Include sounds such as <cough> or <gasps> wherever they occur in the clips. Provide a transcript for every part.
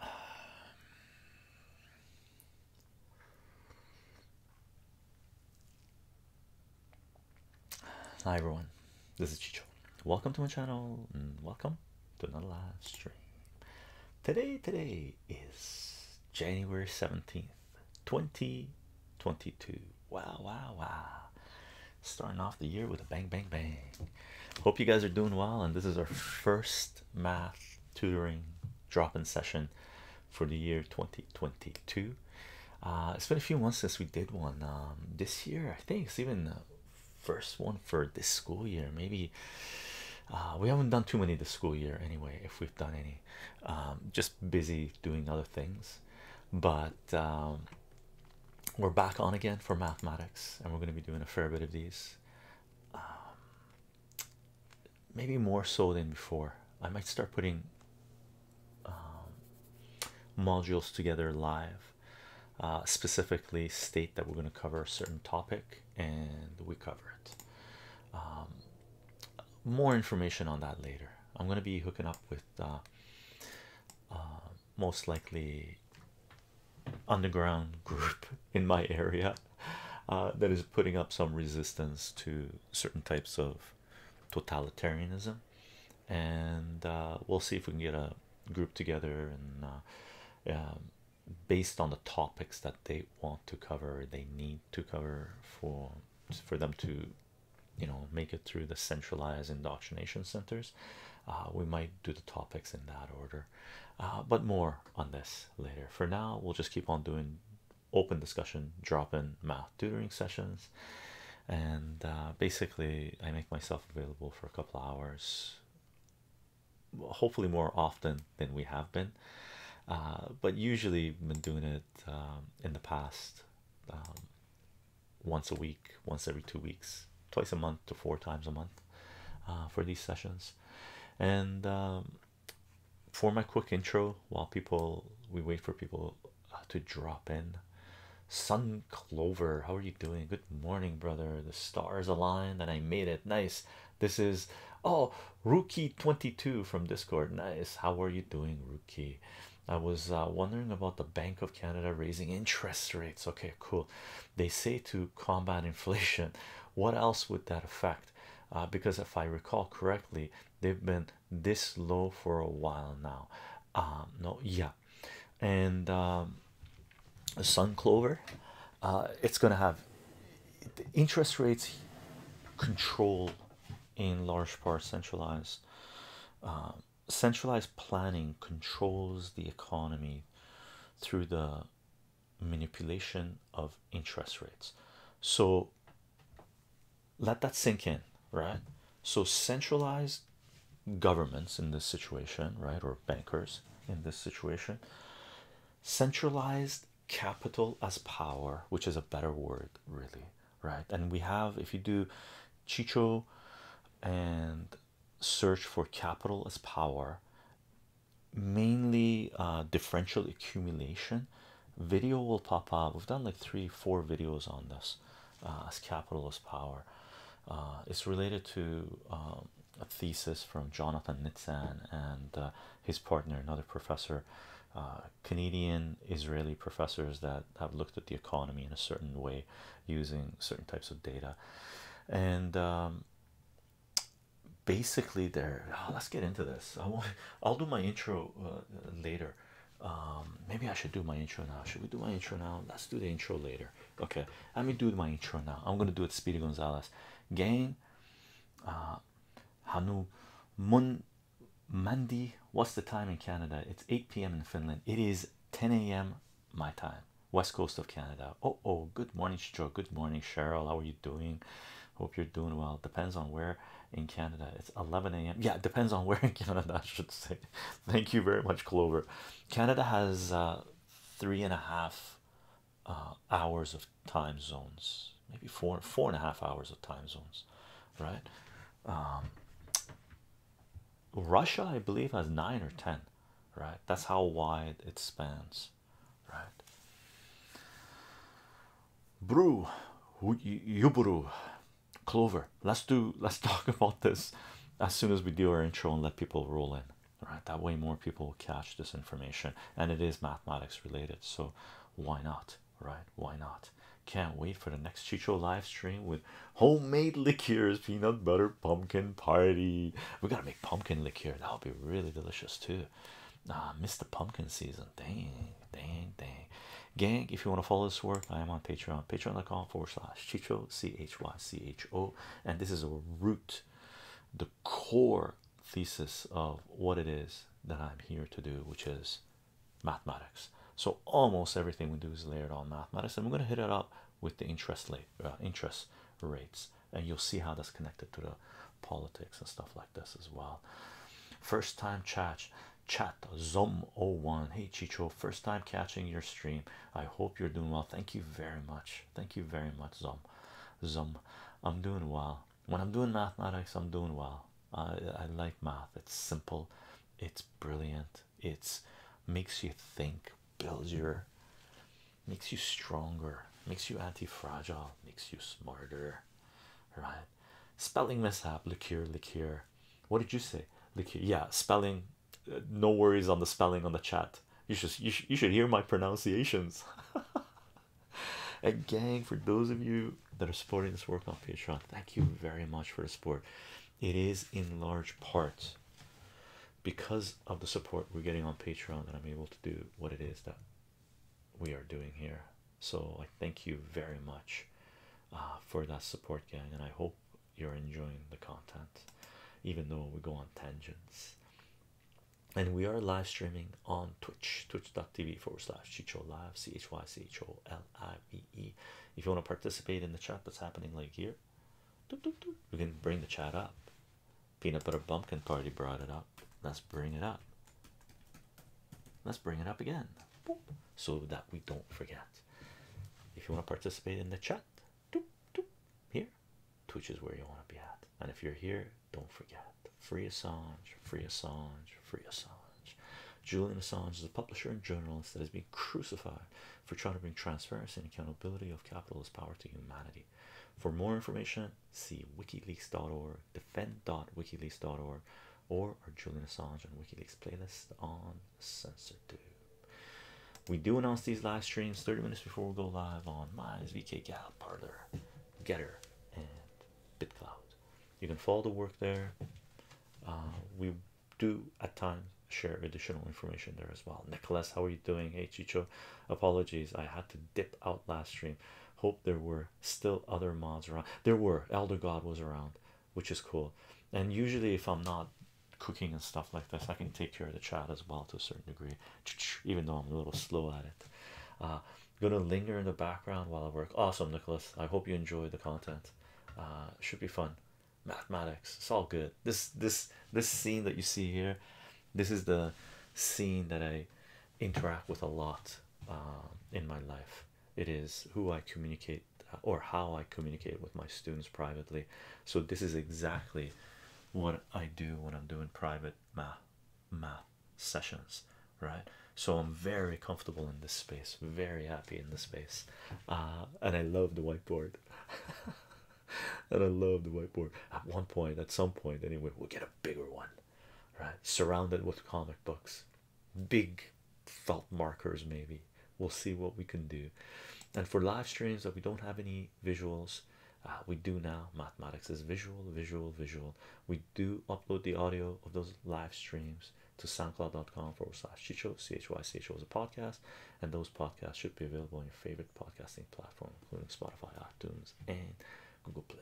Um, hi everyone, this is Chicho. Welcome to my channel and welcome to another live stream. Today, today is January 17th, 2022. Wow, wow, wow. Starting off the year with a bang, bang, bang. Hope you guys are doing well, and this is our first math tutoring drop-in session for the year 2022. Uh, it's been a few months since we did one. Um, this year, I think it's even the first one for this school year. Maybe uh, we haven't done too many this school year anyway. If we've done any, um, just busy doing other things. But um, we're back on again for mathematics, and we're going to be doing a fair bit of these. Um, maybe more so than before. I might start putting um, modules together live, uh, specifically state that we're going to cover a certain topic and we cover it. Um, more information on that later. I'm going to be hooking up with uh, uh, most likely underground <laughs> group in my area uh, that is putting up some resistance to certain types of totalitarianism and uh, we'll see if we can get a group together and uh, um, based on the topics that they want to cover they need to cover for for them to you know make it through the centralized indoctrination centers uh, we might do the topics in that order uh, but more on this later for now we'll just keep on doing open discussion drop-in math tutoring sessions and uh, basically i make myself available for a couple hours hopefully more often than we have been but usually been doing it um, in the past um, once a week once every two weeks twice a month to four times a month uh, for these sessions. And um, for my quick intro, while people we wait for people uh, to drop in, Sun Clover, how are you doing? Good morning, brother. The stars aligned and I made it. Nice. This is oh Rookie22 from Discord. Nice. How are you doing, Rookie? I was uh, wondering about the Bank of Canada raising interest rates. Okay, cool. They say to combat inflation. <laughs> What else would that affect? Uh, because if I recall correctly, they've been this low for a while now. Um, no, yeah, and um, sun clover, uh, it's gonna have interest rates control in large part centralized. Um, centralized planning controls the economy through the manipulation of interest rates. So let that sink in, right? So centralized governments in this situation, right, or bankers in this situation, centralized capital as power, which is a better word, really, right? And we have, if you do Chicho and search for capital as power mainly uh, differential accumulation video will pop up we've done like three four videos on this uh, as capital as power uh, it's related to um, a thesis from Jonathan Nitzan and uh, his partner another professor Canadian Israeli professors that have looked at the economy in a certain way using certain types of data and um, basically there oh, let's get into this i won't i'll do my intro uh, later um, maybe i should do my intro now should we do my intro now let's do the intro later okay let me do my intro now i'm gonna do it speedy Gonzales. gang uh, hanu mun Monday, what's the time in Canada? It's 8 p.m. in Finland. It is 10 a.m my time, west coast of Canada. Oh, oh, good morning, Joe. Good morning, Cheryl. How are you doing? Hope you're doing well. Depends on where in Canada. It's 11 a.m. Yeah, depends on <laughs> where in Canada, I should say. Thank you very much, Clover. Canada has uh, three and a half uh, hours of time zones, maybe four, four and a half hours of time zones, right? Um, Russia, I believe, has nine or ten, right? That's how wide it spans right? Brew, Yuburu, Clover. Let's do. Let's <laughs> talk about this as soon as we do our intro and let people roll in. Right, that way more people will catch this information, and it is mathematics related. So why not? Right? Why not? Can't wait for the next Chicho live stream with homemade liqueurs, peanut butter, pumpkin party. We gotta make pumpkin liqueur. That'll be really delicious too. Ah, missed the pumpkin season. Dang, dang, dang. Gang, if you want to follow this work, I am on Patreon. Patreon.com forward slash Chicho C H Y C H O. And this is a root, the core thesis of what it is that I'm here to do, which is mathematics. So almost everything we do is layered on mathematics, and we're gonna hit it up with the interest rate. Uh, interest rates and you'll see how that's connected to the politics and stuff like this as well first time chat chat zom 01 hey chicho first time catching your stream i hope you're doing well thank you very much thank you very much zom zom i'm doing well when i'm doing mathematics i'm doing well i i like math it's simple it's brilliant it's makes you think builds your makes you stronger makes you anti-fragile makes you smarter right spelling mishap liqueur liqueur what did you say liqueur yeah spelling uh, no worries on the spelling on the chat you should you, you should hear my pronunciations <laughs> a gang for those of you that are supporting this work on patreon thank you very much for the support it is in large part because of the support we're getting on Patreon that I'm able to do what it is that we are doing here. So I thank you very much uh, for that support, gang, and I hope you're enjoying the content, even though we go on tangents. And we are live streaming on Twitch, twitch.tv forward slash Chicho Live, C H Y C H O L I V E. If you want to participate in the chat that's happening like here, we can bring the chat up. Peanut Butter Bumpkin Party brought it up. Let's bring it up. Let's bring it up again so that we don't forget. If you want to participate in the chat, here, Twitch is where you want to be at. And if you're here, don't forget Free Assange, Free Assange, Free Assange. Julian Assange is a publisher and journalist that has been crucified for trying to bring transparency and accountability of capitalist power to humanity. For more information, see wikileaks.org, defend.wikileaks.org, or our Julian Assange and WikiLeaks playlist on CensorTube. We do announce these live streams 30 minutes before we go live on Minds, VK Gal, Parlor, Getter, and BitCloud. You can follow the work there. Uh, we do at times share additional information there as well. Nicholas, how are you doing? Hey, Chicho, Apologies, I had to dip out last stream. Hope there were still other mods around. There were Elder God was around, which is cool. And usually, if I'm not cooking and stuff like this, I can take care of the chat as well to a certain degree, <tsk> even though I'm a little slow at it. Uh, gonna linger in the background while I work. Awesome, Nicholas. I hope you enjoy the content. Uh, should be fun. Mathematics, it's all good this this this scene that you see here this is the scene that i interact with a lot uh, in my life it is who i communicate uh, or how i communicate with my students privately so this is exactly what i do when i'm doing private math math sessions right so i'm very comfortable in this space very happy in this space uh, and i love the whiteboard <laughs> <laughs> and I love the whiteboard at one point, at some point, anyway, we'll get a bigger one, right? Surrounded with comic books, big felt markers, maybe we'll see what we can do. And for live streams that we don't have any visuals, uh, we do now. Mathematics is visual, visual, visual. We do upload the audio of those live streams to soundcloud.com forward slash chicho, C H Y C H O is a podcast, and those podcasts should be available in your favorite podcasting platform, including Spotify, iTunes, and Google Play.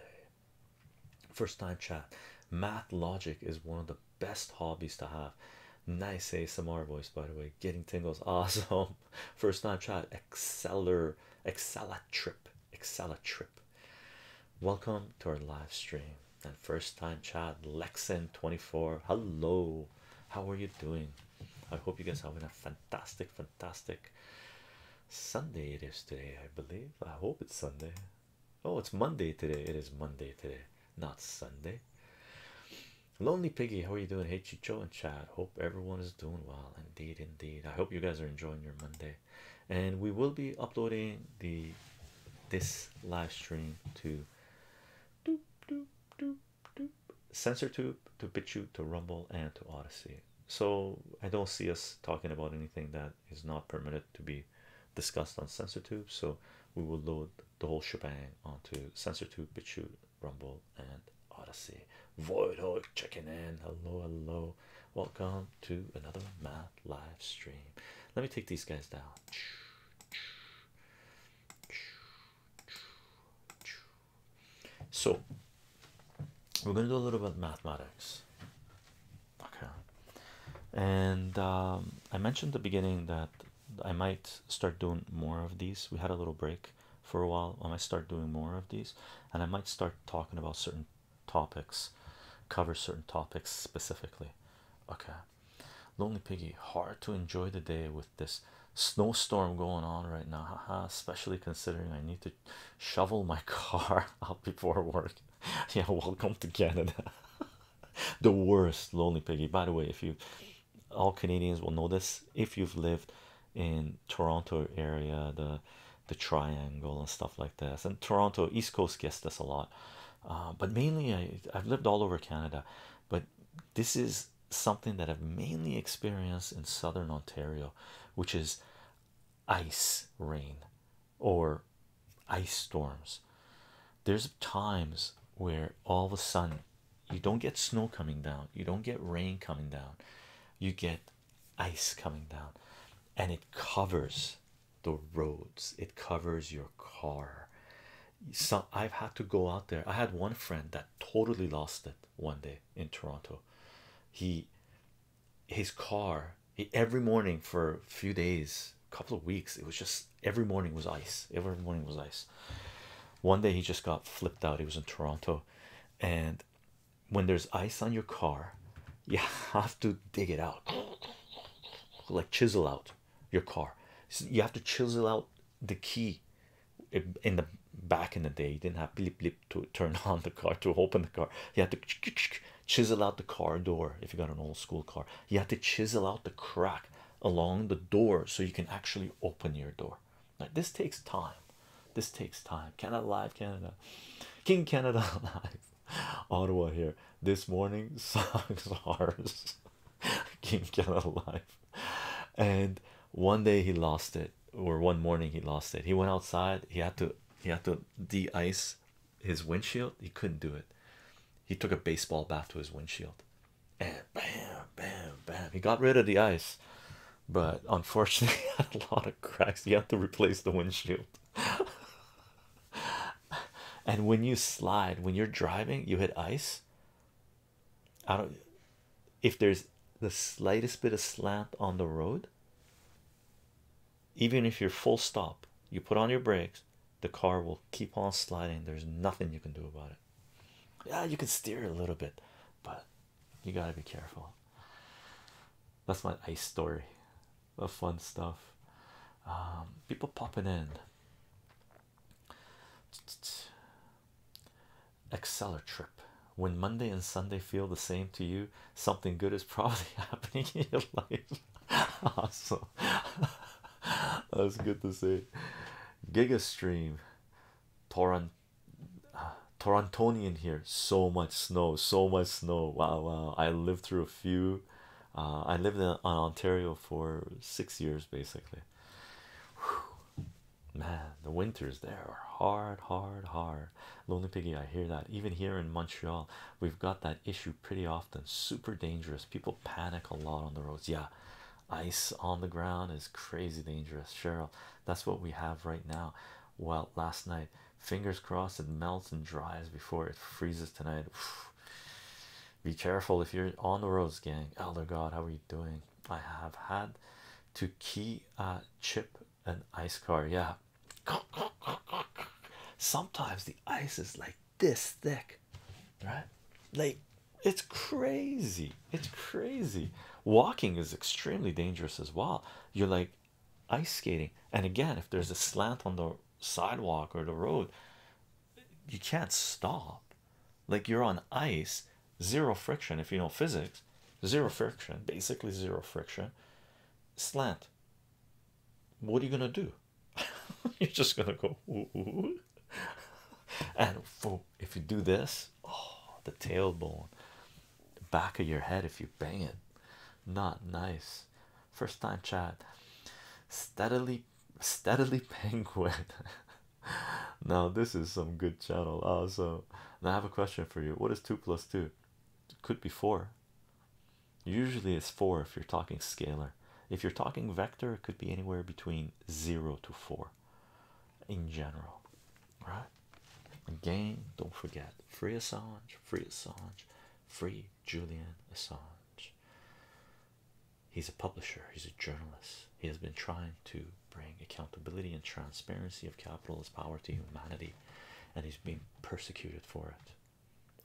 First time chat. Math logic is one of the best hobbies to have. Nice ASMR voice, by the way. Getting tingles, <laughs> awesome. First time chat. Exceller, Excella trip, Excella trip. Welcome to our live stream and first time chat. Lexan24. Hello, how are you doing? I hope you guys are having a fantastic, fantastic Sunday. It is today, I believe. I hope it's Sunday. Oh, it's Monday today. It is Monday today, not Sunday. Lonely Piggy, how are you doing? Hey, Chicho and Chad. Hope everyone is doing well. Indeed, indeed. I hope you guys are enjoying your Monday. And we will be uploading the this live stream to doop, doop, doop, sensor tube to BitChute to Rumble and to Odyssey. So I don't see us talking about anything that is not permitted to be discussed on sensor tube. So we will load the whole shebang onto sensor tube, BitChute, Rumble, and Odyssey. Void Hook checking in. Hello, hello. Welcome to another math live stream. Let me take these guys down. So we're going to do a little bit of mathematics. Okay. And um, I mentioned at the beginning that I might start doing more of these. We had a little break for a while. I might start doing more of these, and I might start talking about certain topics, cover certain topics specifically. Okay. Lonely Piggy, hard to enjoy the day with this snowstorm going on right now, especially considering I need to shovel my <laughs> car out before work. <laughs> Yeah, welcome to Canada. <laughs> the worst, Lonely Piggy. By the way, if you all Canadians will know this, if you've lived in Toronto area, the the triangle and stuff like this, and Toronto East Coast gets this a lot. Uh, but mainly I, I've lived all over Canada, but this is something that I've mainly experienced in southern Ontario, which is ice rain or ice storms. There's times where all of a sudden you don't get snow coming down, you don't get rain coming down, you get ice coming down, and it covers the roads, it covers your car. So I've had to go out there. I had one friend that totally lost it one day in Toronto. He his car every morning for a few days, a couple of weeks, it was just every morning was ice. Every morning was ice. One day he just got flipped out. He was in Toronto, and when there's ice on your car, you <laughs> have to dig it out, like chisel out your car. you have to chisel out the key. Eh, in the back in the day, you didn't have blip, to turn <laughs> on the car to open the car you had to chisel out the car door if you got an old school car you had to chisel out the crack along the door so you can actually open your door like this takes time this takes time canada live canada king canada <laughs> live ottawa here this morning sucks <laughs> ours king canada live and one day he lost it or one morning he lost it he went outside he had to he had to de-ice his windshield he couldn't do it he took a baseball bat to his windshield and bam bam bam he got rid of the ice but unfortunately <laughs> a lot of cracks he had to replace the windshield <laughs> and when you slide when you're driving you hit ice i don't if there's the slightest bit of slant on the road, even if you're full stop, you put on your brakes, the car will keep on sliding. There's nothing you can do about it. Yeah, you can steer a little bit, but you gotta be careful. That's my ice story of fun stuff. Um, people popping in. Exceller trip when Monday and Sunday feel the same to you, something good is <laughs> probably happening in your life. <laughs> awesome, <laughs> that's good to see. Giga stream, Torrent, uh, Torontonian here. So much snow, so much snow. Wow, wow. I lived through a few. Uh, I lived in, Ontario for six years basically. Man, the winters there are hard, hard, hard. Lonely Piggy, I hear that. Even here in Montreal, we've got that issue pretty often. Super dangerous. People panic a lot on the roads. Yeah, ice on the ground is crazy dangerous. Cheryl, that's what we have right now. Well, last night, fingers crossed it melts and dries before it freezes tonight. <sighs> Be careful if you're on the roads, gang. Elder God, how are you doing? I have had to key uh, chip an ice car yeah sometimes the ice is like this thick right like it's crazy it's crazy walking is extremely dangerous as well you're like ice skating and again if there's a slant on the sidewalk or the road you can't stop like you're on ice zero friction if you know physics zero friction basically zero friction slant what are you gonna do <laughs> you're just gonna go ooh, and if you do this oh the tailbone back of your head if you bang it not nice first time chat steadily steadily <laughs> penguin now this is some good channel also and I have a question for you. What is two plus two? could be four. Usually it's four if you're talking scalar. If you're talking vector, it could be anywhere between zero to four in general. Right? Again, don't forget free Assange, free Assange, free Julian Assange. He's a publisher, he's a journalist. He has been trying to bring accountability and transparency of capitalist power to humanity, and he's being persecuted for it.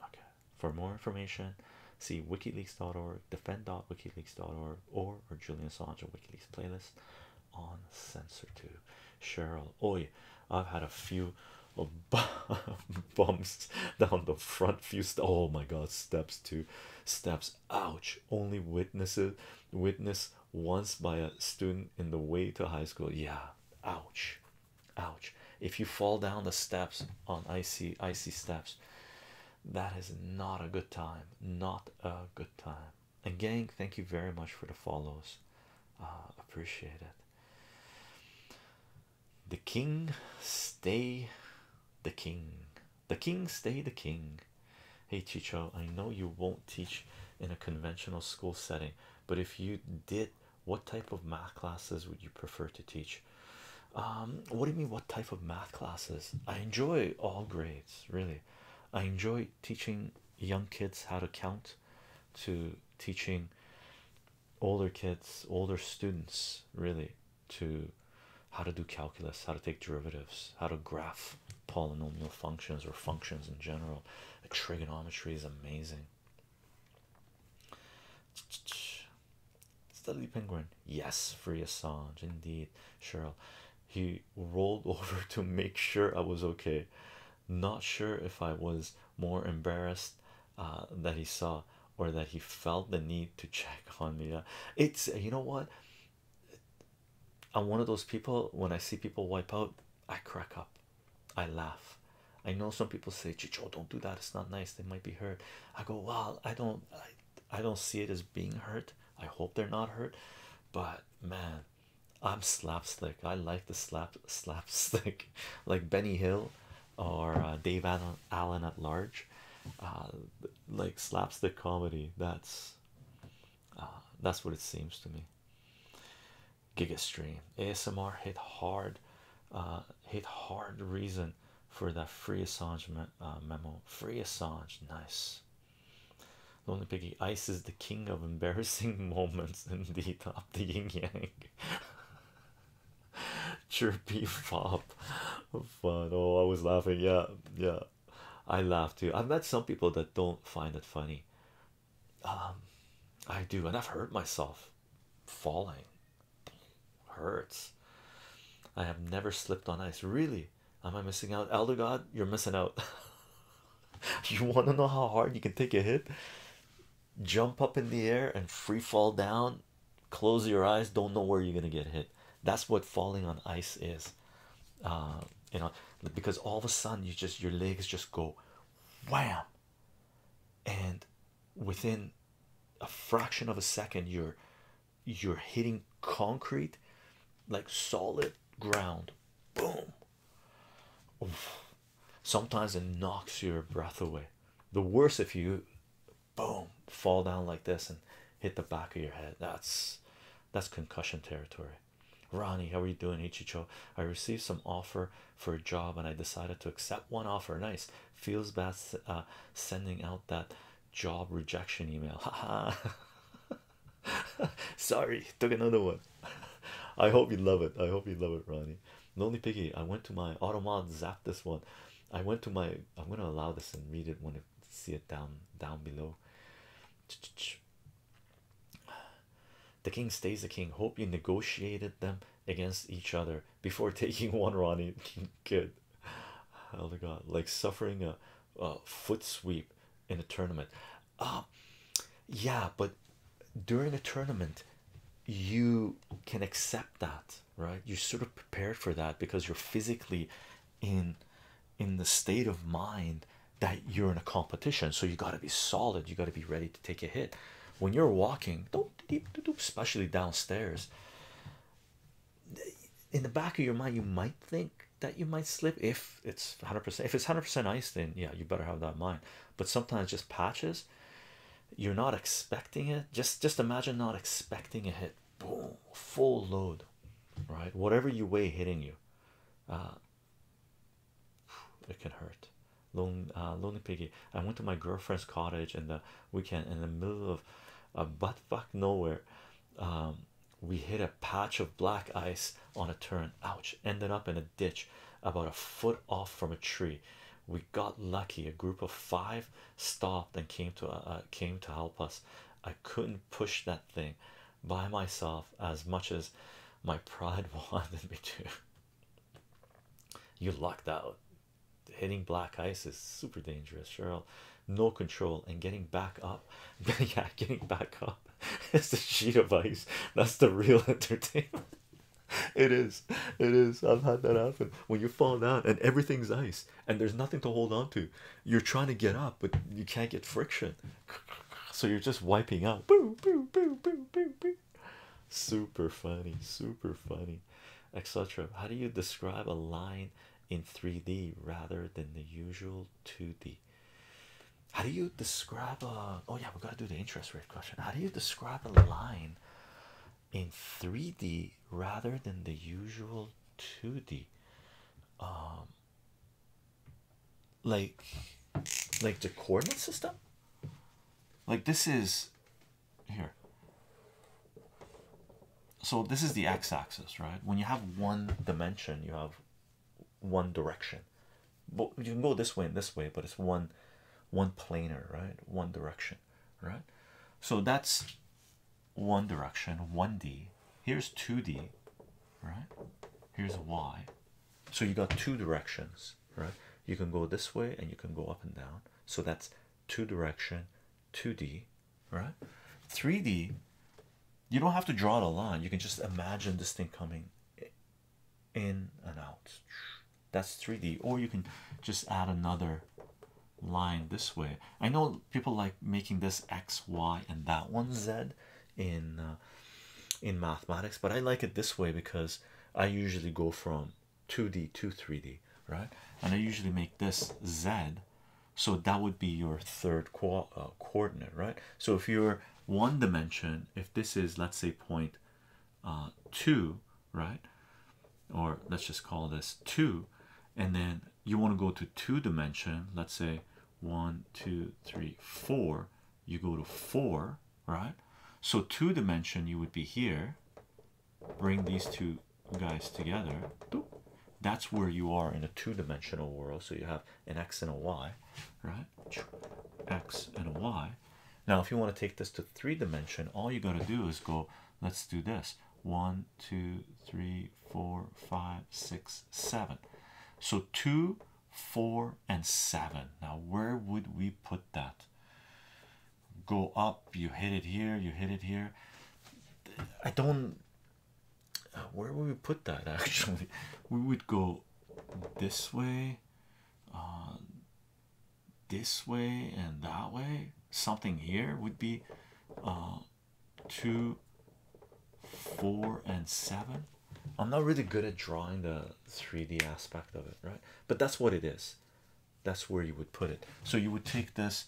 Okay. For more information, see WikiLeaks.org, defend.wikileaks.org, or or Julian Assange WikiLeaks playlist on Censor2. Cheryl, oi, I've had a few of <laughs> bumps down the front few. Oh my God, steps two, steps. Ouch! Only witnesses witness once by a student in the way to high school. Yeah, ouch, ouch. If you fall down the steps on icy, icy steps, that is not a good time. Not a good time. And gang, thank you very much for the follows. Uh, appreciate it. The king stay the king. The king stay the king. Hey, Chicho, I know you won't teach in a conventional school setting, but if you did, what type of math classes would you prefer to teach? Um, what do you mean, what type of math classes? I enjoy all grades, really. I enjoy teaching young kids how to count, to teaching older kids, older students, really, to how to do calculus, how to take derivatives, how to graph polynomial functions or functions in general. trigonometry is amazing. Steadily Penguin, yes, free Assange, indeed. Cheryl, he rolled <laughs> over to make sure I was okay. Not sure if I was more embarrassed uh, that he saw or that he felt the need to <laughs> check on me. Uh, it's you know what, I'm one of those people when I see people wipe out, I crack up, I laugh. I know some people say, Chicho, don't do that, it's not nice, they might be hurt. I go, Well, I don't I, I don't see it as being hurt. I hope they're not hurt, but man, I'm slapstick. I like the slap slapstick <laughs> like Benny Hill or uh, Dave Allen, Allen at large. Uh, like slapstick comedy, that's Ah, that's what it seems to me. GigaStream ASMR hit hard, uh, hit hard reason for that free Assange uh, memo. Free Assange, nice. Lonely Piggy Ice is the king of embarrassing <laughs> moments, indeed. top the yin yang. <laughs> Chirpy fop, fun. Oh, I was laughing. Yeah, yeah, I laughed too. I've met some people that don't find it funny, um, I do, and I've hurt myself falling hurts. I have never slipped on ice. Really? Am I missing out? Elder God, you're missing out. <laughs> you want to know how hard you can take a hit? Jump up in the air and free fall down. Close your eyes, don't know where you're going to get hit. That's what falling on ice is. Uh, you know, because all of a sudden you just your legs just go wham, and within a fraction of a second you're you're hitting concrete like solid ground boom sometimes it knocks your breath away the worst if you boom fall down like this and hit the back of your head that's that's concussion territory Ronnie, how are you doing? Ichicho, I received some offer for a job and I decided to accept one offer. Nice, feels bad uh, sending out that job rejection email. Haha, <laughs> sorry, took another one. <laughs> I hope you love it. I hope you love it, Ronnie. Lonely Piggy, I went to my auto mod zap this one. I went to my, I'm going to allow this and read it when I see it down, down below. The king stays the king. Hope you negotiated them against each other before <laughs> taking one, Ronnie. kid. <laughs> Oh god, like suffering a, foot sweep in a tournament. Uh, yeah, but during a tournament, you can accept that, right? you sort of prepared for that because you're physically in in the state of mind that you're in a competition so you got to be solid you got to be ready to take a hit when you're walking especially downstairs in the back of your mind you might think that you might slip if it's 100% if it's 100% ice then yeah you better have that mind but sometimes just patches you're not expecting it just just imagine not expecting a hit boom full load right whatever you weigh hitting you uh, it can hurt Lone, uh, lonely piggy i went to my girlfriend's cottage in the weekend in the middle of a uh, butt fuck nowhere um, we hit a patch of black ice on a turn ouch ended up in a ditch about a foot off from a tree we got lucky a group of five stopped and came to uh, came to help us i couldn't push that thing by myself as much as my pride <laughs> wanted me to. You lucked out. Hitting black ice is super dangerous, Cheryl. No control and getting back up. <laughs> yeah, getting back up. It's <laughs> a sheet of ice. That's the real entertainment. It is. It is. I've had that happen. When you fall down and everything's ice and there's nothing to hold on to, you're trying to get up, but you can't get friction so you're just wiping out. Boo, boo, boo, boo, boo, boo. Super funny, super funny, etc. How do you describe a line in 3D rather than the usual 2D? How do you describe a oh, yeah, we are going to do the interest rate question. How do you describe a line in 3D rather than the usual 2D? Um, like like the coordinate system like this is here so this is the x-axis right when you have one dimension you have one direction but you can go this way and this way but it's one one planar right one direction right so that's one direction 1d here's 2d right here's y so you got two directions right you can go this way and you can go up and down so that's two direction 2d right 3d you don't have to draw a line you can just imagine this thing coming in and out that's 3d or you can just add another line this way i know people like making this x y and that one z in uh, in mathematics but i like it this way because i usually go from 2d to 3d right and i usually make this z so that would be your third co uh, coordinate right so if you're one dimension if this is let's say point uh, 2 right or let's just call this 2 and then you want to go to two dimension let's say one two three four you go to four, right? So two dimension, you would be here. Bring these two guys together. That's where you are in a two-dimensional world. So you have an x and a y, right? X and a y. Now, if you want to take this to three dimension, all you got to do is go. Let's do this. One, two, three, four, five, six, seven. So two four and seven now where would we put that go up you hit it here you hit it here i don't where would we put that <laughs> actually we would go this way uh, this way and that way something here would be uh, two four and seven. I'm not really good at drawing the 3D aspect of it, right? But that's what it is. That's where you would put it. So you would take this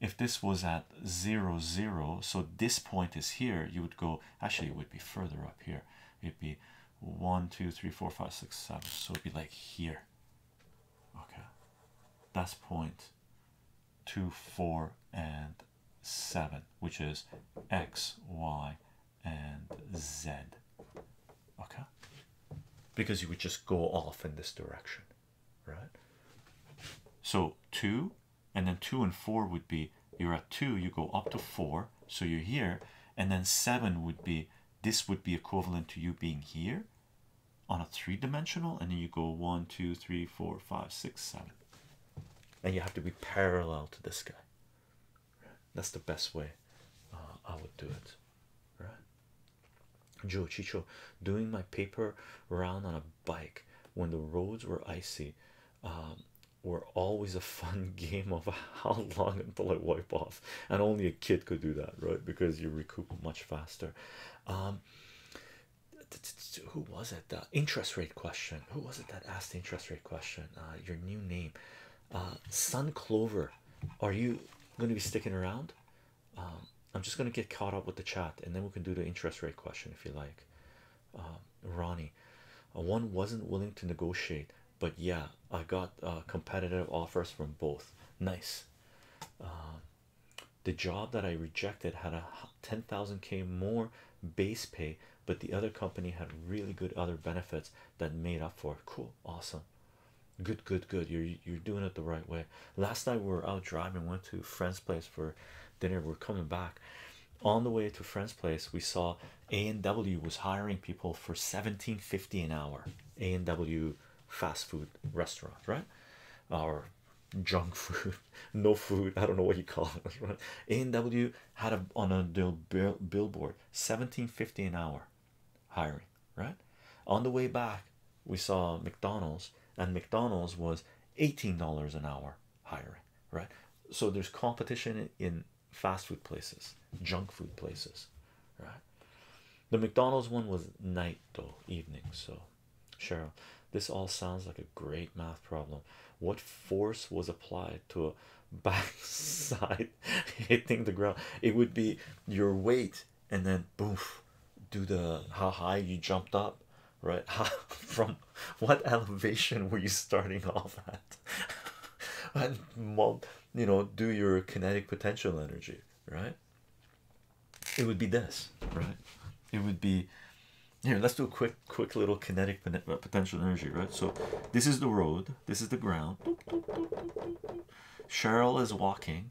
if this was at zero zero, so this point is here, you would go actually, it would be further up here, it'd be one, two, three, four, five, six, seven, so it'd be like here. Okay, that's point two, four, and seven, which is x, y, and Z. Okay, because you would just go off in this direction, right? So two and then two and four would be you're at two, you go up to four, so you're here, and then seven would be this would be equivalent to you being here on a three-dimensional and then you go one two three four five six seven and you have to be parallel to this guy that's the best way uh, I would do it, right? Joe Chicho doing my paper round on a bike when the roads were icy um, were always a fun <laughs> game of how long until I wipe off, and only a kid could do that, right? Because you recoup much faster. Um, who was it? that? interest rate question. Who was it that asked the interest rate question? Uh, your new name, uh, Sun Clover. Are you going to be sticking around? Um, I'm just going to get caught up with the chat and then we can do the interest rate question if you like. Um, Ronnie, uh, one wasn't willing to negotiate, but yeah, I got competitive offers from both. Nice. Um, the job that I rejected had a 10,000k more base pay but the other company had really good other benefits that made up for it. Cool, awesome, good, good, good. You're you're doing it the right way. Last night we were out driving, went to friend's place for dinner. We're coming back. On the way to friend's place, we saw A and W was hiring people for seventeen fifty an hour. A and W fast food restaurant, right? Our junk food, <laughs> no food. I don't know what you call it. Right? <laughs> A and W had a on a bill, billboard 1750 an hour hiring right on the way back we saw mcdonald's and mcdonald's was $18 an hour hiring right so there's competition in fast food places junk food places right the mcdonald's one was night though evening so cheryl this all sounds like a great math problem what force was applied to back side <laughs> hitting the ground it would be your weight and then boof do the how high you jumped up right <laughs> how, from what elevation were you starting <laughs> off at and you know do your kinetic potential energy right it would be this right it would be here let's do a quick quick little kinetic uh, potential energy, right? So this is the road, this is the ground. Cheryl is walking.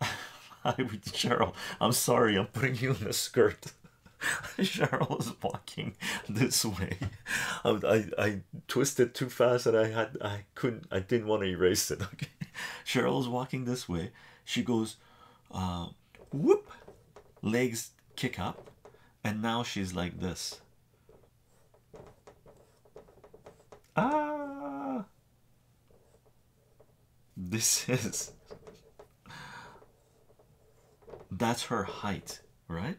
Hi, <laughs> Cheryl. I'm sorry, I'm putting you in the skirt. <laughs> Cheryl is walking this way. I, I, I twisted too fast and I had I couldn't I didn't want to erase it. <laughs> Okay, Cheryl is walking this way. She goes, uh, whoop, legs kick up, and now she's like this. Ah, this is <laughs> that's her height, right?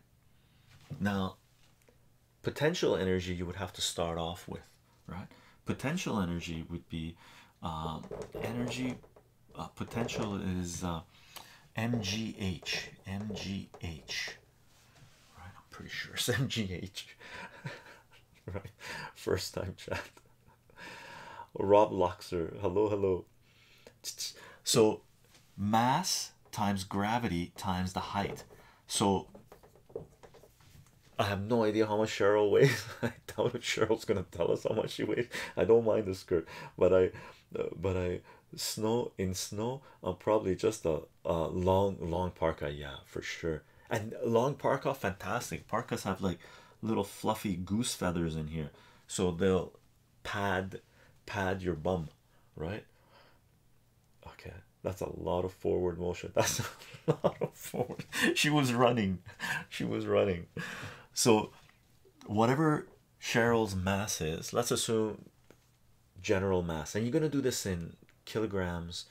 Now, potential energy you would have to start off with, right? Potential energy would be uh, energy uh, potential is uh, MGH. MGH. Right, I'm pretty sure it's MGH. <laughs> <laughs> right, first time chat. Rob Luxer. Hello, hello. So, mass times gravity times the height. So, I have no idea how much Cheryl weighs. <laughs> I doubt if Cheryl's gonna tell us how much she weighs. I don't mind the skirt, but I, uh, but I snow in snow uh, probably just a, a long long parka yeah for sure and long parka fantastic parkas have like little fluffy goose feathers in here so they'll pad pad your bum right okay that's a lot of forward motion <laughs> that's a lot of forward she was running she was running so whatever Cheryl's mass is, let's assume general mass, and you're going to do this in kilograms,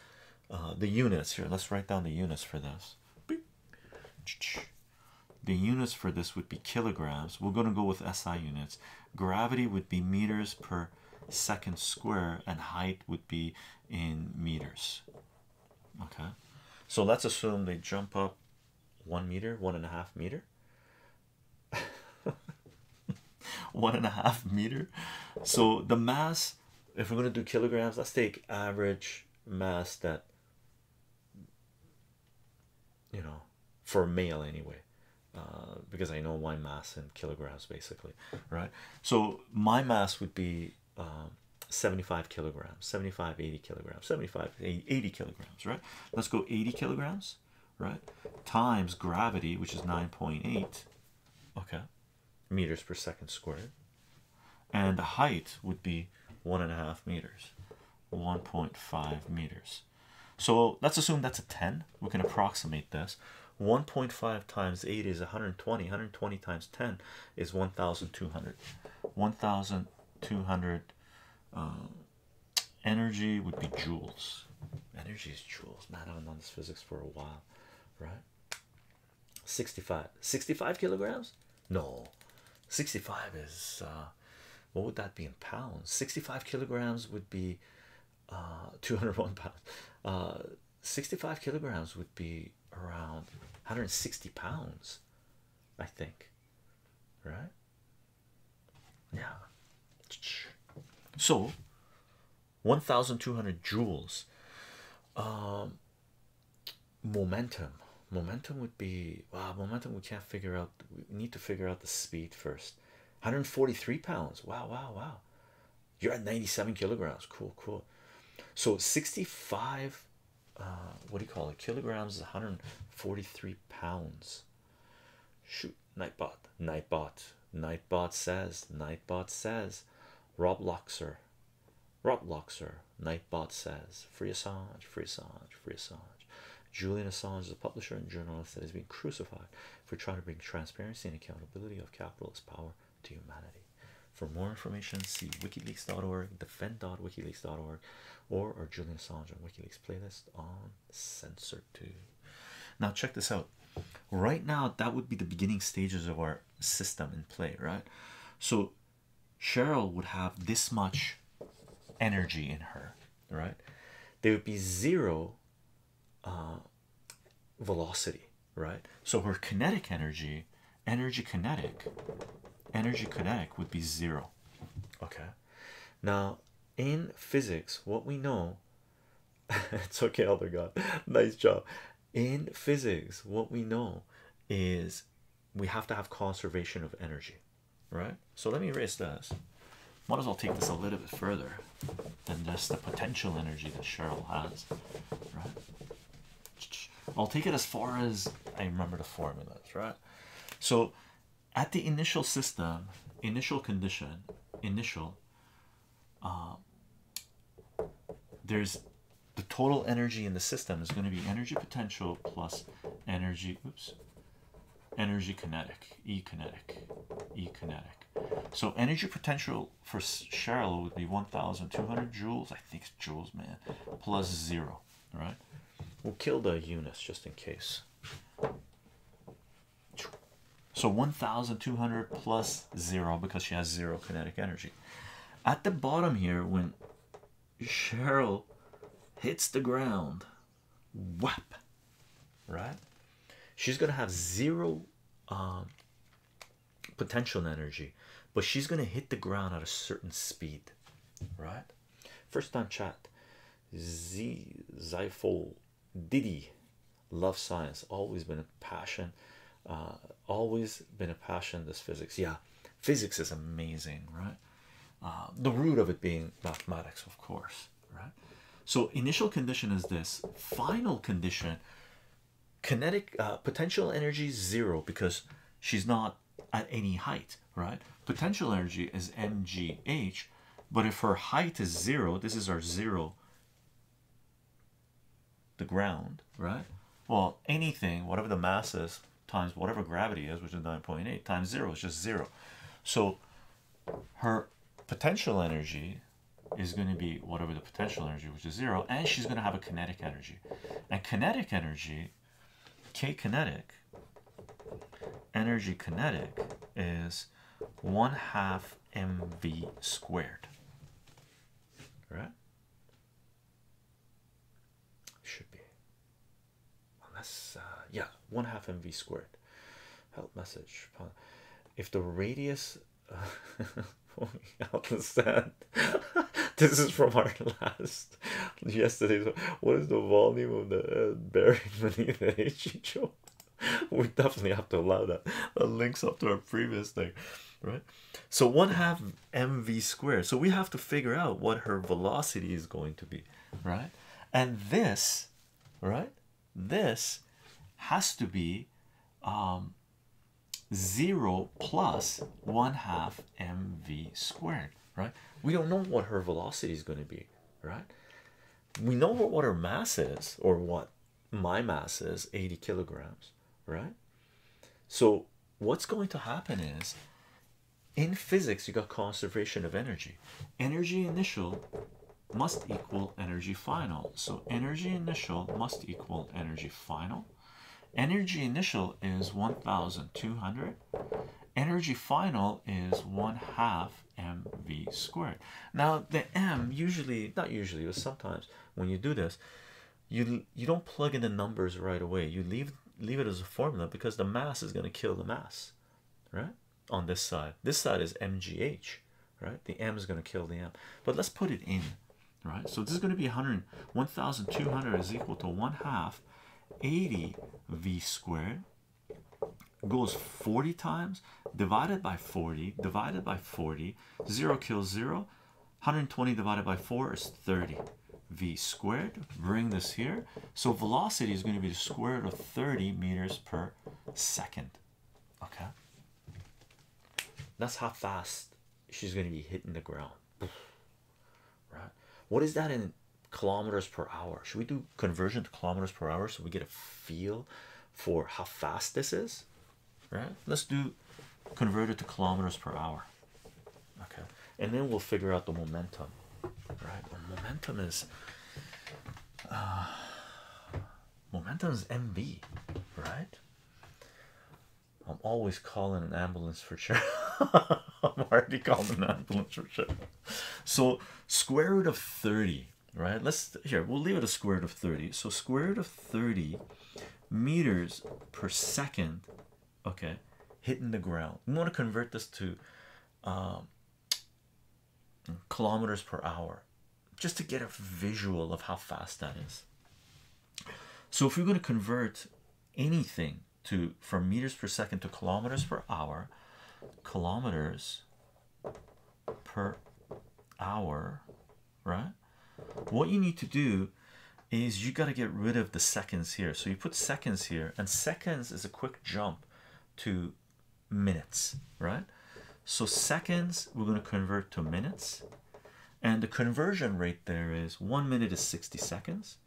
uh, the units here. Let's write down the units for this. The units for this would be kilograms. We're going to go with SI units. Gravity would be meters per second square, and height would be in meters. Okay, so let's assume they jump up one meter, one and a half meter. <laughs> one and a half meter. So the mass, if we're going to do kilograms, let's take average mass that you know for male anyway, uh, because I know my mass in kilograms basically, right? So my mass would be um, 75 kilograms, 75, kilograms, 75, 80 kilograms, right? Let's go 80 kilograms right times gravity which is 9.8 okay meters per second squared and the height would be one and a half meters 1.5 meters so let's assume that's a 10 we can approximate this 1.5 times 8 is 120 120 times 10 is 1200 1200 uh, energy would be joules. Energy is joules. Not I haven't done this physics for a while, right? 65 65 kilograms? No, 65 is uh, what would that be in pounds? 65 kilograms would be uh, <laughs> 201 pounds. Uh, 65 kilograms would be around 160 pounds, I think, right? Yeah. So, 1,200 joules. Um, momentum. Momentum would be wow. Momentum. We can't figure out. We need to figure out the speed first. 143 pounds. Wow. Wow. Wow. You're at 97 kilograms. Cool. Cool. So 65. Uh, what do you call it? Kilograms is 143 pounds. Shoot, Nightbot, Nightbot, Nightbot says, Nightbot says, Rob Loxer, Rob Loxer, Nightbot says, Free Assange, Free Assange, Free Assange. Julian Assange is a publisher and journalist that has been crucified for trying to bring transparency and accountability of capitalist power to humanity. For more information, see wikileaks.org, defend.wikileaks.org, or our Julian Assange and WikiLeaks playlist on sensor two. Now check this out. Right now, that would be the beginning stages of our system in play, right? So Cheryl would have this much energy in her, right? There would be zero uh, velocity, right? So her kinetic energy, energy kinetic, energy kinetic would be zero. Okay. Now, in physics, what we know <laughs> it's okay, Elder God. <laughs> nice job. In physics, what we know is we have to have conservation of energy, right? So let me erase this. Might as well take this a little bit further than just the potential energy that Cheryl has, right? I'll take it as far as I remember the formulas, right? So at the initial system, initial condition, initial, uh, there's the total energy in the system is going to be energy potential plus energy, oops, energy kinetic, E kinetic, E kinetic. So energy potential for Cheryl would be 1,200 joules, I think it's joules, man, plus zero, right? We'll kill the units just in case. So 1,200 plus zero because she has zero kinetic energy. At the bottom here, when Cheryl hits the ground, whap, right? She's gonna have zero um, potential energy, but she's gonna hit the ground at a certain speed, right? First time chat. Z Didi, love science always been a passion uh, always been a passion this physics yeah physics is amazing right uh, the root of it being mathematics of course right so initial condition is this final condition kinetic uh, potential energy zero because she's not at any height right? Potential energy is mgh, but if her height is zero, this is our zero, the ground, right? Well, anything, whatever the mass is, times whatever gravity is, which is 9.8, times zero is just zero. So her potential energy is going to be whatever the potential energy, which is zero, and she's going to have a kinetic energy. And kinetic energy, K kinetic, energy kinetic is one half mv squared right should be unless uh, yeah one half mv squared help message if the radius uh, <laughs> oh understand <laughs> this is from our <laughs> last yesterday's what is the volume of the uh, bearing beneath the we definitely have to allow that. That links up to our previous thing, right? So one half mv squared. So we have to figure out what her velocity is going to be, right? And this, right? This has to be um, zero plus one half mv squared, right? We don't know what her velocity is going to be, right? we know what our mass is or what my mass is 80 kilograms right so what's going to happen is in physics you got conservation of energy energy initial must equal energy final so energy initial must equal energy final energy initial is 1200 energy final is one half mv squared. Now the m usually, not usually, but sometimes when you do this, you you don't plug in the numbers right away. You leave leave it as a formula because the mass is going to kill the mass, right? On this side, this side is mgh, right? The m is going to kill the m. But let's put it in, right? So this is going to be 100, 1,200 is equal to one half 80 v squared goes 40 times divided by 40 divided by 40 0 kills 0 120 divided by 4 is 30 v squared bring this here so velocity is going to be the square root of 30 meters per second okay that's how fast she's going to be hitting the ground right what is that in kilometers per hour. Should we do conversion to kilometers per hour so we get a feel for how fast this is? Right? Let's do convert it to kilometers per hour. Okay. And then we'll figure out the momentum. Right? momentum is uh, momentum is mv. right? I'm always calling an ambulance for sure. <laughs> I'm already calling an ambulance for sure so square root of 30 right let's here we'll leave it a square root of 30 so square root of 30 meters per second okay hitting the ground we want to convert this to um, kilometers per hour just to get a visual of how fast that is so if you are going to convert anything to from meters per second to kilometers per hour kilometers per hour, right? What you need to do is you got to get rid of the seconds here. So you put seconds here, and seconds is a quick jump to minutes, right? So seconds we're going to convert to minutes, and the conversion rate there is one minute is 60 seconds,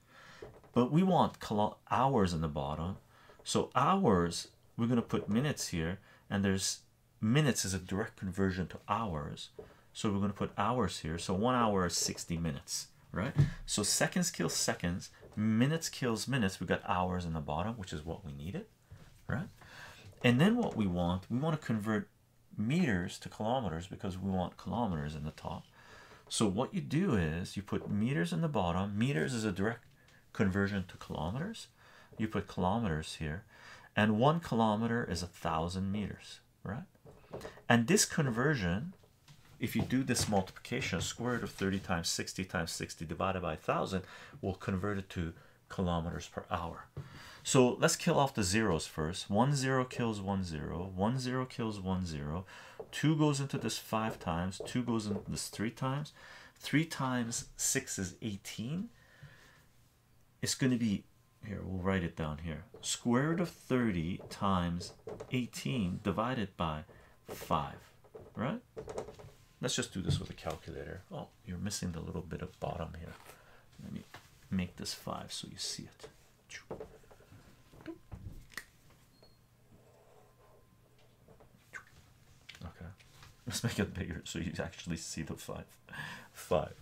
but we want hours in the bottom. So hours we're going to put minutes here and there's minutes is a direct conversion to hours so we're going to put hours here so one hour is 60 minutes right so seconds kills seconds minutes kills minutes we got hours in the bottom which is what we needed right and then what we want we want to convert meters to kilometers because we want kilometers in the top so what you do is you put meters in the bottom meters is a direct conversion to kilometers you put kilometers here and one kilometer is a thousand meters right and this conversion if you do this multiplication square root of 30 times 60 times 60 divided by 1000 will convert it to kilometers per hour so let's kill off the zeros first one zero kills one zero one zero kills zero. Two goes into this five times two goes into this three times 3 times 6 is 18. It's going to be here, we'll write it down here. Square root of 30 times 18 divided by 5, right? Let's just do this with a calculator. Oh, you're missing the little bit of bottom here. Let me make this 5 so you see it. Okay, <laughs> let's make it bigger so you actually see the five, <laughs> five,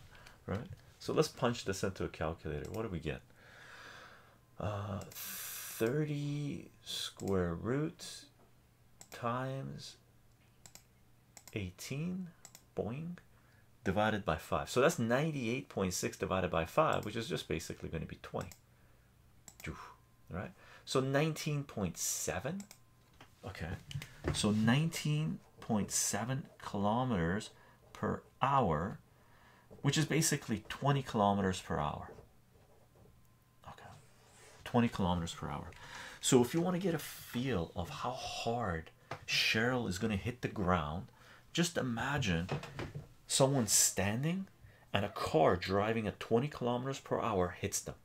right? So let's punch this into a calculator. What do we get? Uh, 30 square root times 18 boing divided by 5 so that's 98.6 divided by 5 which is just basically going to be 20 right so 19.7 okay so 19.7 kilometers per hour which is basically 20 kilometers per hour okay 20 kilometers per hour so if you want to get a feel of how hard Cheryl is going to hit the ground just imagine someone standing and a car driving at 20 kilometers per hour hits them.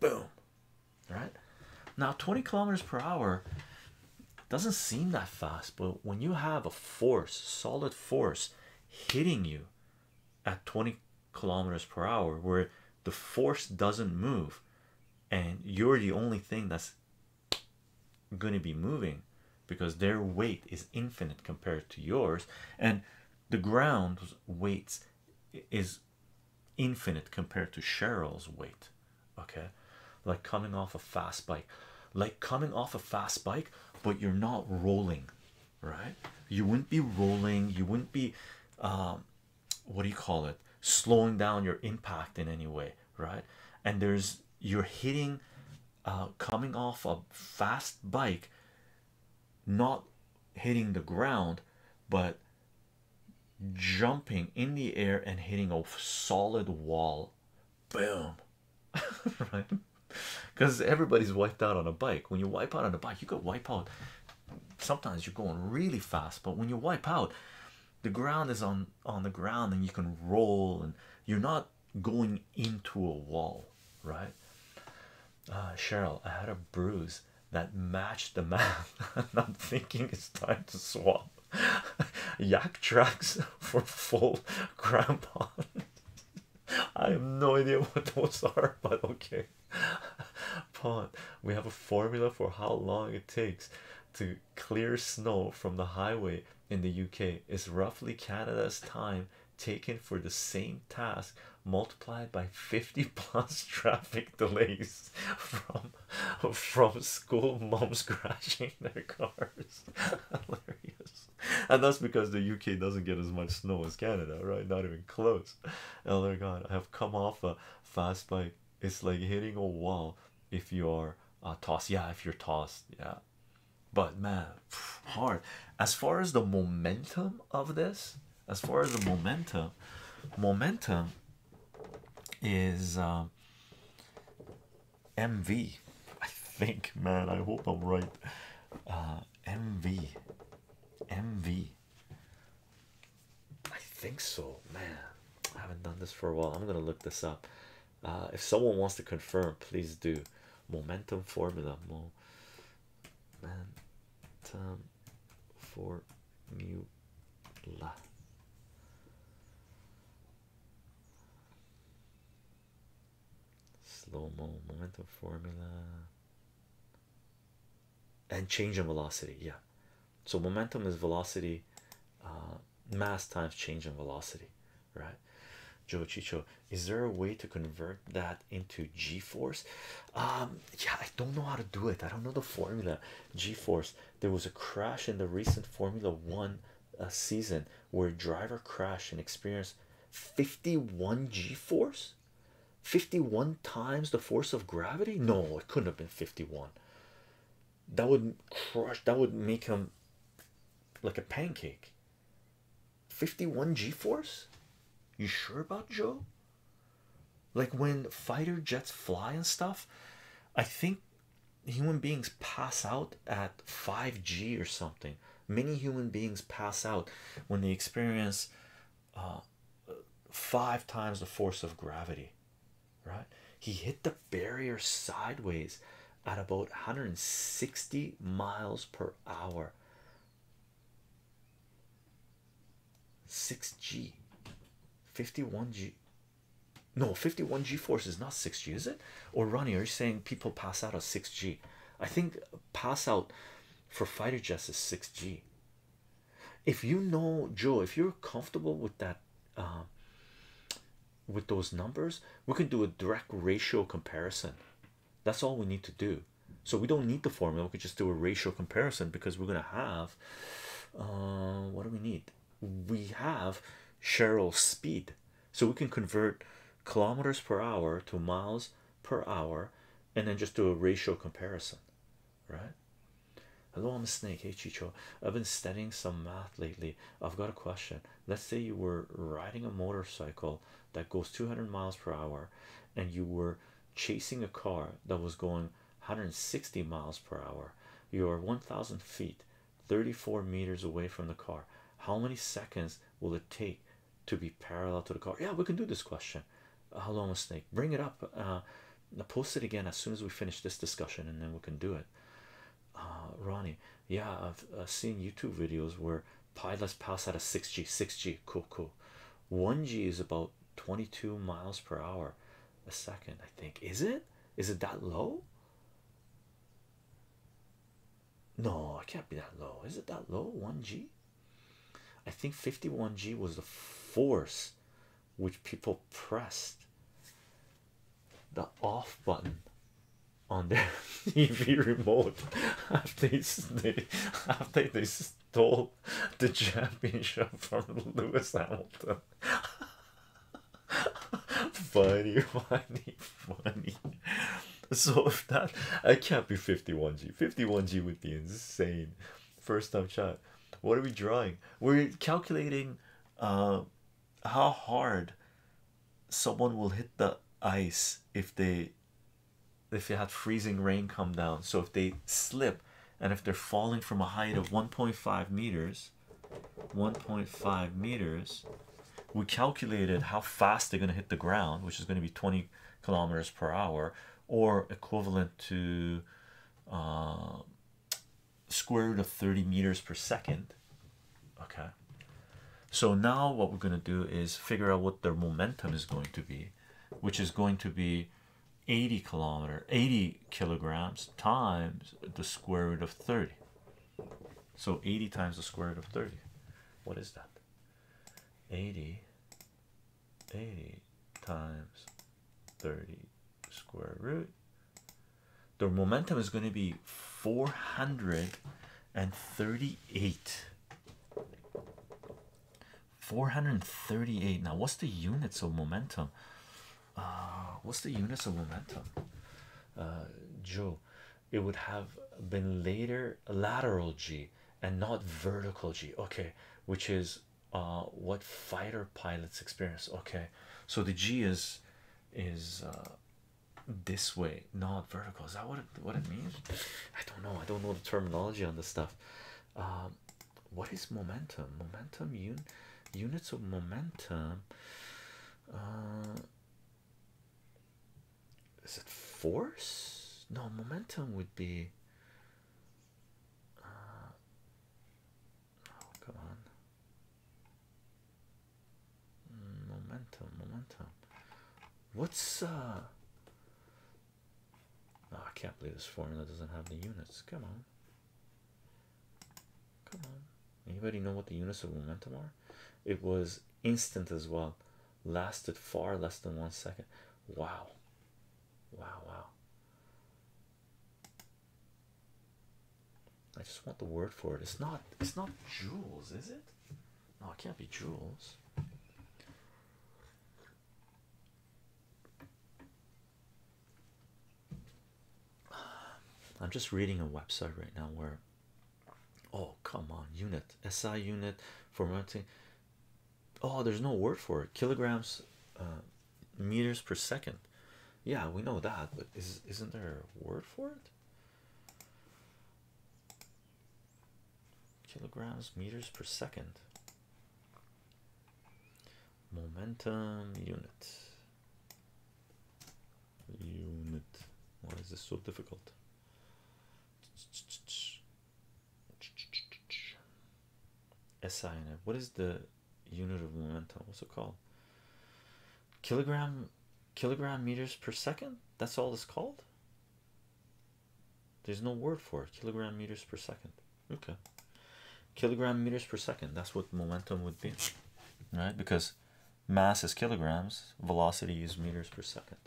Boom. Right now, 20 kilometers per hour doesn't seem that fast, but when you have a force, solid force, hitting you at 20 kilometers per hour, where the force doesn't move and you're the only thing that's going to be moving because their weight is infinite compared to yours, and the ground weight is infinite compared to Cheryl's weight. Okay, like coming off a fast bike, like coming off a fast bike, but you're not rolling, right? You wouldn't be rolling, you wouldn't be, um, what do you call it, slowing down your impact in any way, right? And there's you're hitting, uh, coming off a fast bike, not hitting the ground but jumping in the air and hitting a solid wall boom <laughs> right because everybody's wiped out on a bike when you wipe out on a bike you could wipe out sometimes you're going really fast but when you wipe out the ground is on on the ground and you can roll and you're not going into a wall right uh, Cheryl, I had a bruise that matched the map. <laughs> I'm thinking it's time to swap <laughs> yak tracks <laughs> for full grandpa. I have no idea what those are, but okay. Pond, we have a formula for how long it takes to clear snow from the highway in the UK. It's roughly Canada's time taken for the same task multiplied by 50 <laughs> plus traffic delays from from school moms <laughs> crashing their cars <laughs> hilarious and that's because the uk doesn't get as much snow as canada right not even close oh my god i have come off a fast bike it's like hitting a wall if you are uh, tossed yeah if you're tossed yeah but man <sighs> hard as far as the momentum of this as far as the momentum momentum is mv um, i think man i hope i'm right uh, mv mv i think so man i haven't done this for a while i'm gonna look this up uh, if someone wants to confirm please do momentum formula mo Momentum for phantom formula. Slow mo momentum formula and change in velocity. Yeah, so momentum is velocity, uh, mass times change in velocity, right? Joe Chicho, is there a way to convert that into g force? Um, yeah, I don't know how to do it, I don't know the formula. G force, there was a crash in the recent Formula One uh, season where a driver crashed and experienced 51 g force, 51 times the force of gravity. No, it couldn't have been 51. That would crush, that would make him like a pancake. 51 G force. You sure about Joe? Like when fighter jets fly and stuff, I think human beings pass out at 5G or something. Many human beings pass out when they experience uh, five times the force of gravity, right? He hit the barrier sideways at about 160 miles per hour 6G 51G no 51G force is not 6G is it or Ronnie are you saying people pass out at 6G I think pass out for fighter jets is 6G if you know Joe if you're comfortable with that uh, with those numbers we can do a direct ratio comparison that's all we need to do. So we don't need the formula. We could just do a ratio comparison because we're gonna have. Uh, what do we need? We have Cheryl's speed, so we can convert kilometers per hour to miles per hour, and then just do a ratio comparison, right? Hello, I'm a snake. Hey, Chicho. I've been studying some math lately. I've got a question. Let's say you were riding a motorcycle that goes 200 miles per hour and you were chasing a car that was going 160 miles per hour you are 1000 feet 34 meters away from the car how many seconds will it take to be parallel to the car yeah we can do this question Hello, uh, long snake bring it up uh, Now post it again as soon as we finish this discussion and then we can do it uh, ronnie yeah I've seen youtube videos where Pi let's pass out a 6G, 6G, cool, cool. 1G is about 22 miles per hour a second, I think. Is it? Is it that low? No, it can't be that low. Is it that low? 1G? I think 51G was the force which people pressed the off button on their <laughs> TV remote <laughs> after they, <laughs> after they stole the championship from Lewis Hamilton. <laughs> funny, funny, funny. So if that I can't be 51G. 51G would be insane. First time shot. What are we drawing? We're calculating uh, how hard someone will hit the ice if they if you had freezing rain come down. So if they slip and if they're falling from a height of 1.5 meters, 1.5 meters, we calculated how fast they're going to hit the ground, which is going to be 20 kilometers per hour or equivalent to uh, square root of 30 meters per second. Okay. So now what we're going to do is figure out what their momentum is going to be which is going to be 80 kilometer 80 kilograms times the square root of 30 so 80 times the square root of 30 what is that 80 80 times 30 square root the momentum is going to be 438 438 now what's the units of momentum uh, what's the units of momentum uh, Joe it would have been later lateral G and not vertical G okay which is uh, what fighter pilots experience okay so the G is is uh, this way not vertical is that what what it means I don't know I don't know the terminology on this stuff um, what is momentum? Momentum units of momentum. Uh, is it force? No, momentum would be. Uh, oh, come on. Momentum, momentum. What's uh Ah, I can't believe this formula doesn't have the units. Come on. Come on. Anybody know what the units of momentum are? It was instant as well. Lasted far less than one second. Wow. Wow, wow. I just want the word for it. It's not it's not joules, is it? No, it can't be joules. I'm just reading a website right now where oh come on unit SI unit for mounting oh there's no word for it kilograms uh, meters per second yeah we know that but is isn't there a word for it kilograms meters per second momentum unit unit why is this so difficult SI what is the unit of momentum what's it called kilogram kilogram meters per second that's all it's called there's no word for Kilogram meters per second. Okay. Kilogram meters per second. That's what momentum would be. Right? Because mass is kilograms, velocity is meters per second.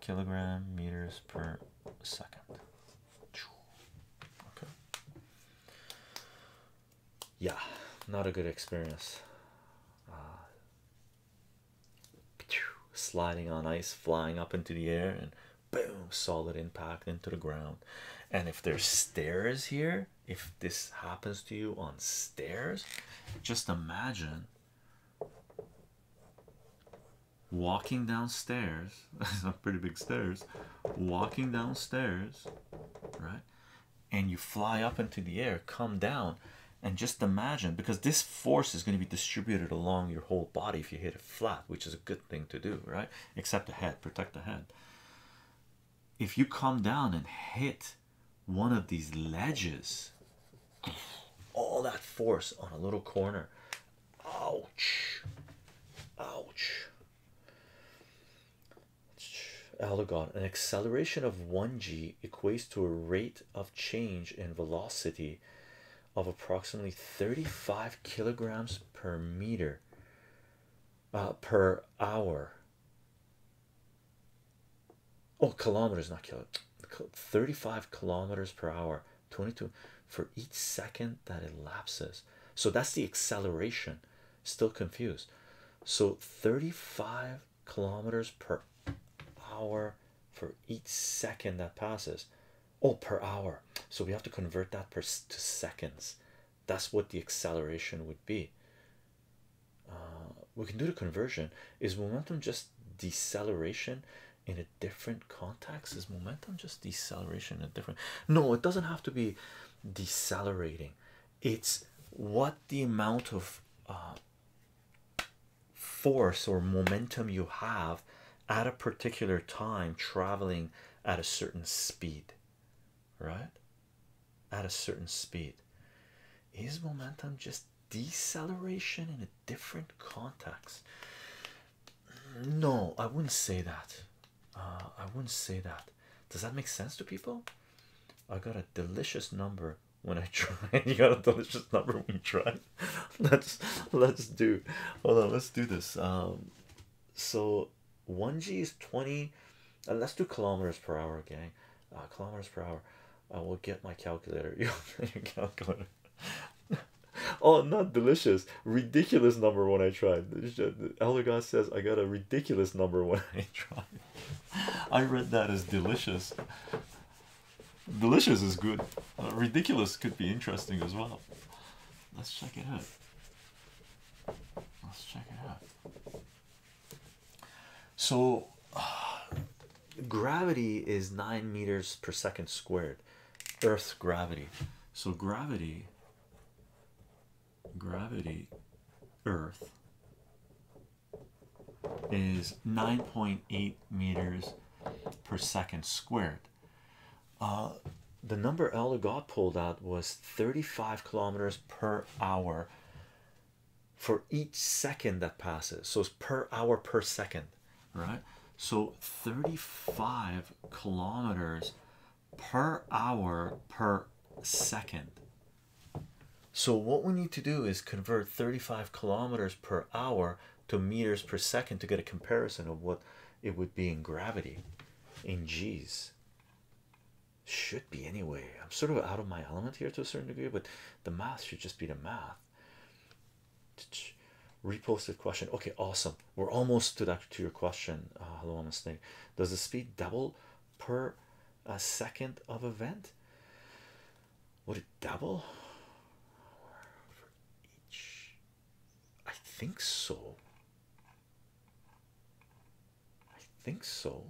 Kilogram meters per second. Okay. Yeah, not a good experience. Uh, sliding on ice, flying up into the air, and boom, solid impact into the ground. And if there's stairs here, if this happens to you on stairs, just imagine walking downstairs. <laughs> That's not pretty big stairs. Walking downstairs, right? And you fly up into the air, come down, and just imagine because this force is going to be distributed along your whole body if you hit it flat, which is a good thing to do, right? Except the head, protect the head. If you come down and hit one of these ledges, all that force on a little corner, ouch, ouch. Aldegon, an acceleration of 1g equates to a rate of change in velocity of approximately 35 kilograms per meter uh, per hour. Oh, kilometers, not kilo. 35 kilometers per hour, 22 for each second that elapses. So that's the acceleration. Still confused. So 35 kilometers per hour for each second that passes. Oh, per hour. So we have to convert that per to seconds. That's what the acceleration would be. Uh, we can do the conversion. Is momentum just deceleration in a different context? Is momentum just deceleration in a different? No, it doesn't have to be decelerating. It's what the amount of uh, force or momentum you have at a particular time traveling at a certain speed, right? At a certain speed, is momentum just deceleration in a different context? No, I wouldn't say that. Uh, I wouldn't say that. Does that make sense to people? I got a delicious number when I <laughs> try. You got a delicious number when you try. <laughs> let's let's do. Hold on, let's do this. Um, so one G is twenty, let's do kilometers per hour, gang. Uh, kilometers per hour. I will get my calculator. <laughs> You your calculator. oh, not delicious. Ridiculous number when I tried. Elder God says I got a ridiculous number when I tried. I read that as delicious. Delicious is good. Uh, ridiculous could be interesting as well. Let's check it out. Let's check it out. So, <sighs> gravity is nine meters per second squared. Earth's gravity. So gravity. Gravity. Earth is 9.8 meters per second squared. Uh, the number Elder got pulled out was 35 kilometers per hour for each second that passes. So it's per hour per second, right? So 35 kilometers per hour per second. So what we need to do is convert 35 kilometers per hour to meters per second to get a comparison of what it would be in gravity in G's. Should be anyway. I'm sort of out of my element here to a certain degree, but the math should just be the math. Reposted question. Okay, awesome. We're almost to that to your question. Uh, hello, i Does the speed double per a uh, second of event? would it double for each? I think so. I think so.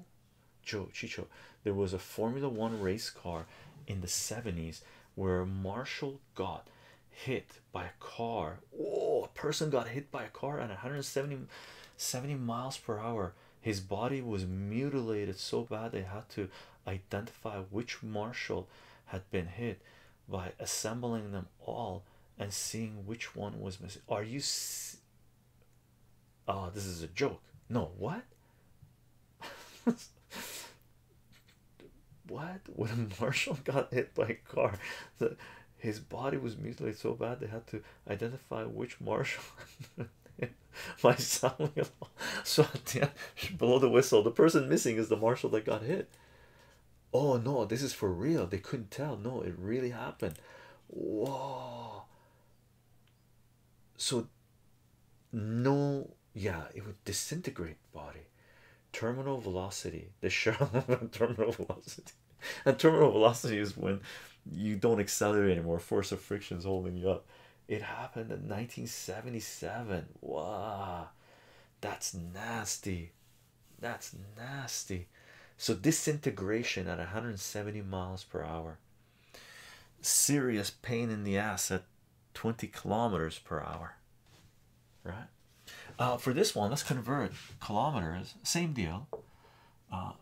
Joe Chicho, there was a Formula One race car in the 70s where Marshall got hit by a car. Oh, a person got hit by a car at 170 miles per hour. His body was mutilated so bad they had to identify which marshal had been hit by assembling them all and seeing which one was missing. Are you? Oh, this is a joke. No, what? <laughs> what? When a marshal got hit by a car, the, his body was mutilated so bad they had to identify which marshal <laughs> my sound shot below the whistle. The person missing is the marshal that got hit. Oh no, this is for real. They couldn't tell. No, it really happened. Whoa. So no yeah, it would disintegrate body. Terminal velocity. The Sherlock <laughs> terminal velocity. And terminal velocity is when you don't accelerate anymore. Force of friction is holding you up. It happened in 1977. Wow, that's nasty. That's nasty. So, disintegration at 170 miles per hour, serious pain in the ass at 20 kilometers per hour. Right, uh, for this one, let's convert kilometers, same deal. Uh,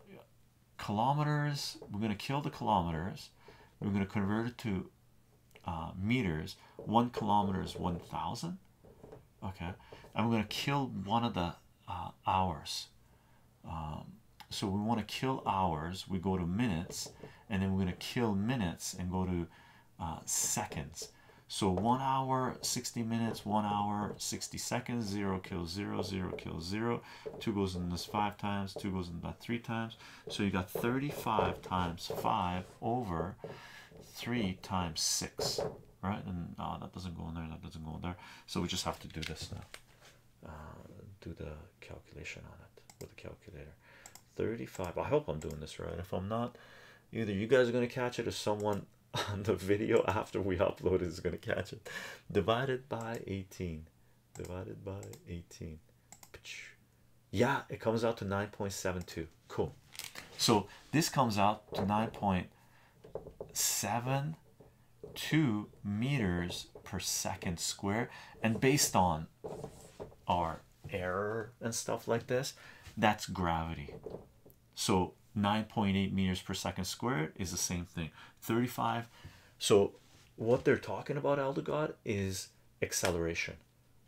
kilometers, we're going to kill the kilometers, we're going to convert it to uh, meters, one kilometer is 1,000. Okay, I'm going to kill one of the uh, hours. Um, so we want to kill hours, we go to minutes, and then we're going to kill minutes and go to uh, seconds. So one hour, 60 minutes, one hour, 60 seconds, zero kills zero, zero kills zero. Two goes in this five times, two goes in that three times, so you got 35 times 5 over 3 times 6, right? And oh, that doesn't go in there, that doesn't go in there. So we just have to do this now. Uh, do the calculation on it with a calculator. 35. I hope I'm doing this right. If I'm not, either you guys are going to catch it or someone <laughs> on the video after we upload is going to catch it. Divided by 18 divided by 18 yeah it comes out to 9.72 cool so this comes out to 9.72 meters per second square and based on our error and stuff like this that's gravity so 9.8 meters per second squared is the same thing 35 so what they're talking about elder god is acceleration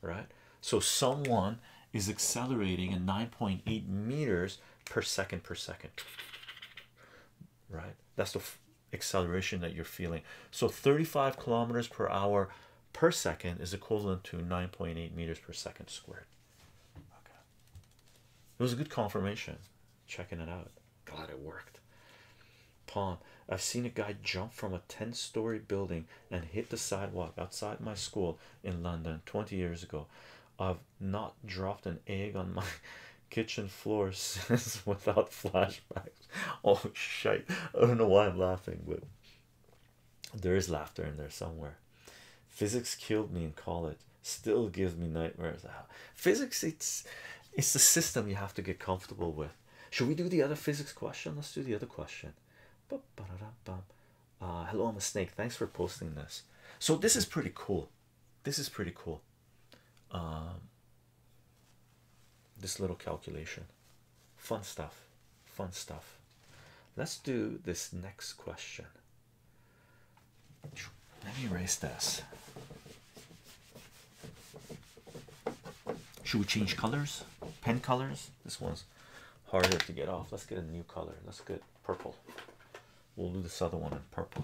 right so someone is accelerating at 9.8 meters per second per second right that's the acceleration that you're feeling so 35 kilometers per hour per second is equivalent to 9.8 meters per second squared okay it was a good confirmation checking it out God, it worked. Pawn. I've seen a guy jump from a 10 story building and hit the sidewalk outside my school in London 20 years ago. I've not dropped an egg on my <laughs> kitchen floor <laughs> since <laughs> without flashbacks. Oh, shit. I don't know why I'm laughing, but there is laughter in there somewhere. Physics killed me in college, still gives me nightmares. Ah, physics, it's it's the system you have to get comfortable with should we do the other physics question? Let's do the other question. Uh, hello, I'm a snake. Thanks for posting this. So this is pretty cool. This is pretty cool. Um, this little calculation, fun stuff, fun stuff. Let's do this next question. Let me erase this. Should we change colors? Pen colors? This one's harder to get off. Let's get a new color. Let's get purple. We'll do this other one in purple.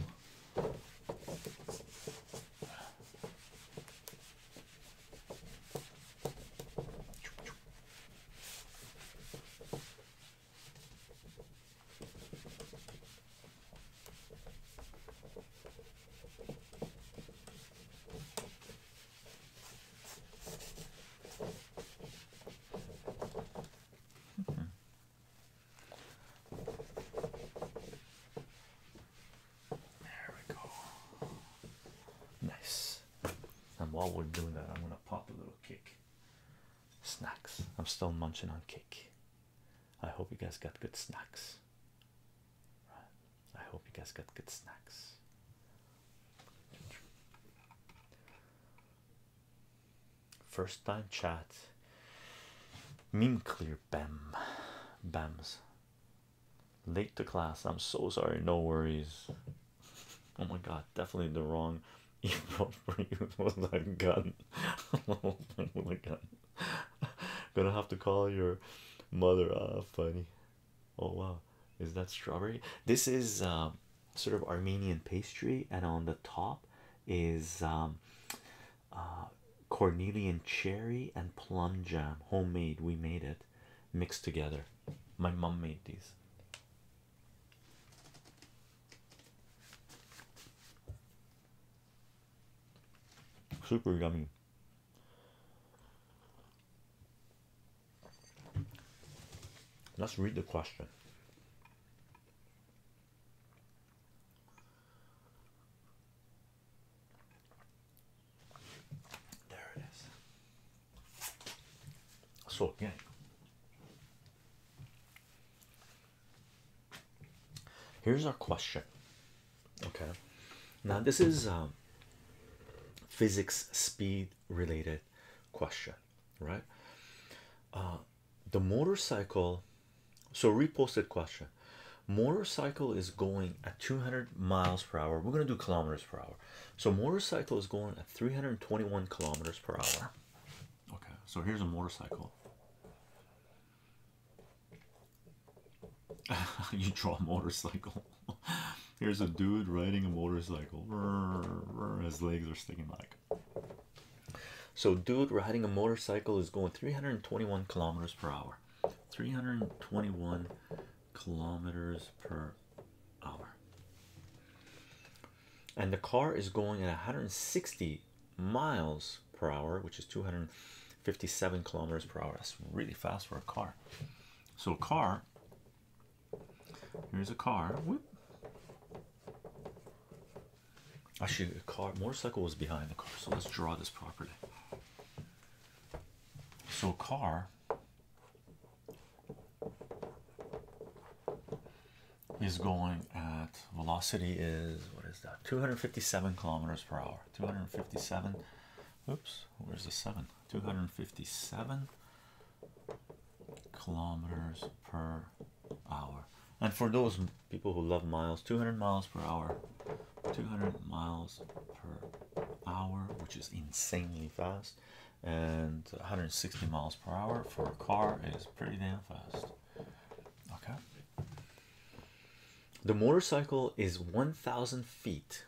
There we go. Nice. And while we're doing that, I'm gonna pop a little cake. Snacks. I'm still munching on cake. I hope you guys got good snacks. I hope you guys got good snacks. First time chat. Meme clear Bam Bams. Late to class. I'm so sorry. No worries. Oh my god, definitely the wrong <laughs> email for you <laughs> was that gun. with a gun. <laughs> <laughs> Gonna have to call your mother. Uh, funny. Oh wow, is that strawberry? This is uh, sort of Armenian pastry, and on the top is um, uh, Cornelian cherry and plum jam, homemade. We made it, mixed together. My mom made these. Super yummy. Let's read the question. There it is. So again, here's our question Okay, now this is um, physics speed related question, right? Uh, the motorcycle, so reposted question motorcycle is going at 200 miles per hour. We're going to do kilometers per hour, so motorcycle is going at 321 kilometers per hour. Okay, so here's a motorcycle. <laughs> you draw a motorcycle. <laughs> Here's a dude riding a motorcycle. <laughs> His legs are sticking like. So, dude riding a motorcycle is going 321 kilometers per hour. 321 kilometers per hour. And the car is going at 160 miles per hour, which is 200. 57 kilometers per hour. That's really fast for a car. So, a car here's a car. Whoop. Actually, a car motorcycle was behind the car, so let's draw this properly. So, a car is going at velocity is what is that 257 kilometers per hour 257 Oops, where's the seven? 257 kilometers per hour. And for those people who love miles, 200 miles per hour, 200 miles per hour, which is insanely fast, and 160 miles per hour for a car is pretty damn fast. Okay, the motorcycle is 1,000 feet.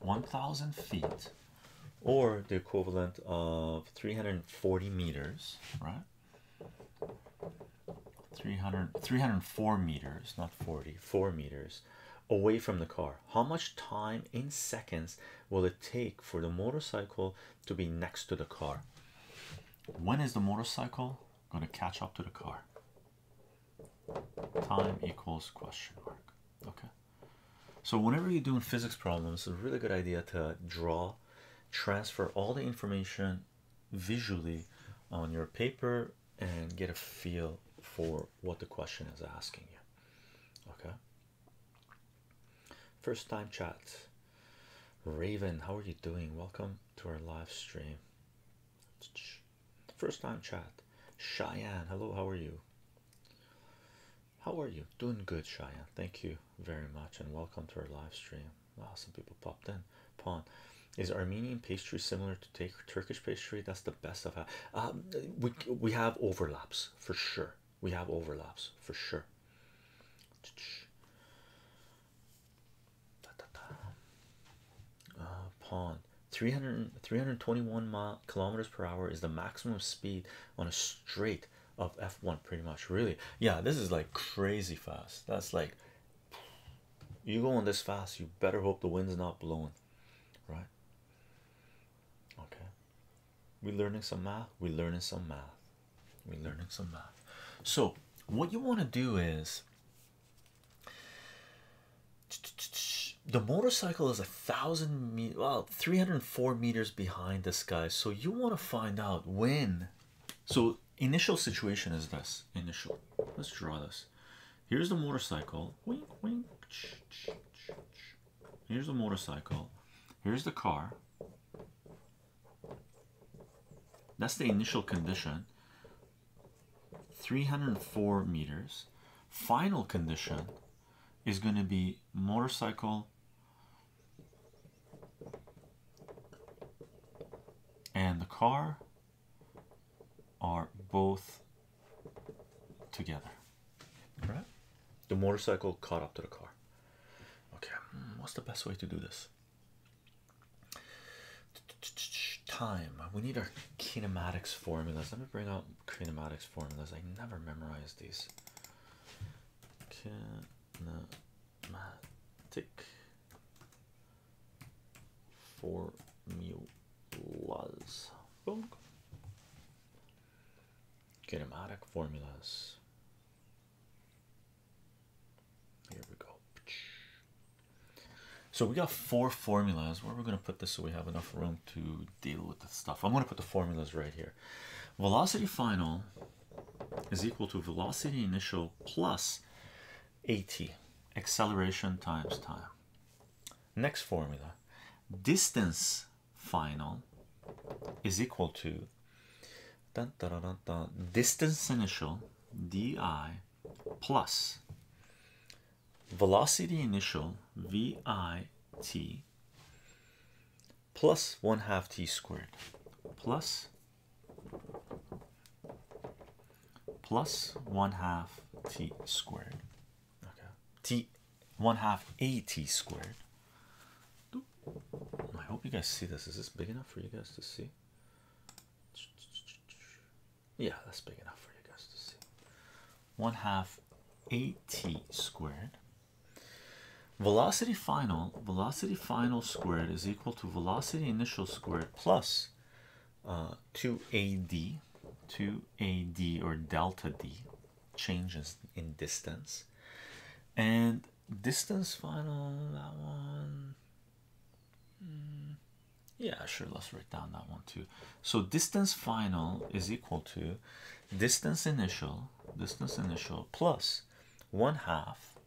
1,000 feet, or the equivalent of 340 meters, right? 300, 304 meters, not forty four meters away from the car. How much time in seconds will it take for the motorcycle to be next to the car? When is the motorcycle going to catch up to the car. Time equals question mark. Okay. So whenever you're doing physics problems, it's a really good idea to draw, transfer all the information visually on your paper and get a feel for what the question is asking you. Okay. First time chat. Raven, how are you doing? Welcome to our live stream. First time chat. Cheyenne, hello, how are you? How are you? Doing good, Cheyenne. Thank you very much and welcome to our live stream. Wow, some people popped in. Pawn. Is Armenian pastry similar to Turkish pastry? That's the best of um, we we have overlaps for sure. We have overlaps for sure da, da, da. Uh, pawn 300 321 kilometers per hour is the maximum speed on a straight of f1 pretty much really yeah this is like crazy fast that's like you going this fast you better hope the wind's not blowing right okay we learning some math we learning some math we're learning some math. So, what you want to do is the motorcycle is a thousand well 304 meters behind this guy so you want to find out when so initial situation is this initial let's draw this here's the motorcycle wink wink here's the motorcycle here's the car that's the initial condition. 304 meters. Final condition is going to be motorcycle and the car are both together. All right? The motorcycle caught up to the car. Okay, hmm, what's the best way to do this? Time. We need our kinematics formulas. Let me bring out kinematics formulas. I never memorize these. Kinematic formulas. Kinematic formulas. Here we go. So we got four formulas. Where we're going to put this so we have enough room to deal with the stuff. I'm going to put the formulas right here. Velocity final is equal to velocity initial plus AT, acceleration times time. Next formula, distance final is equal to dun, dun, dun, dun, dun. distance initial di plus velocity initial vit plus one half t squared plus plus one half t squared t one half a t squared I hope you guys see this. Is this big enough for you guys to see? Yeah, that's big enough for you guys to see. One half 8 squared. Velocity final, velocity final squared is equal to velocity initial squared plus uh, 2ad, 2ad or delta d changes in distance. And distance final, that one, Mm, yeah, sure. Let's write down that one too. So distance final is equal to distance initial, distance initial plus one half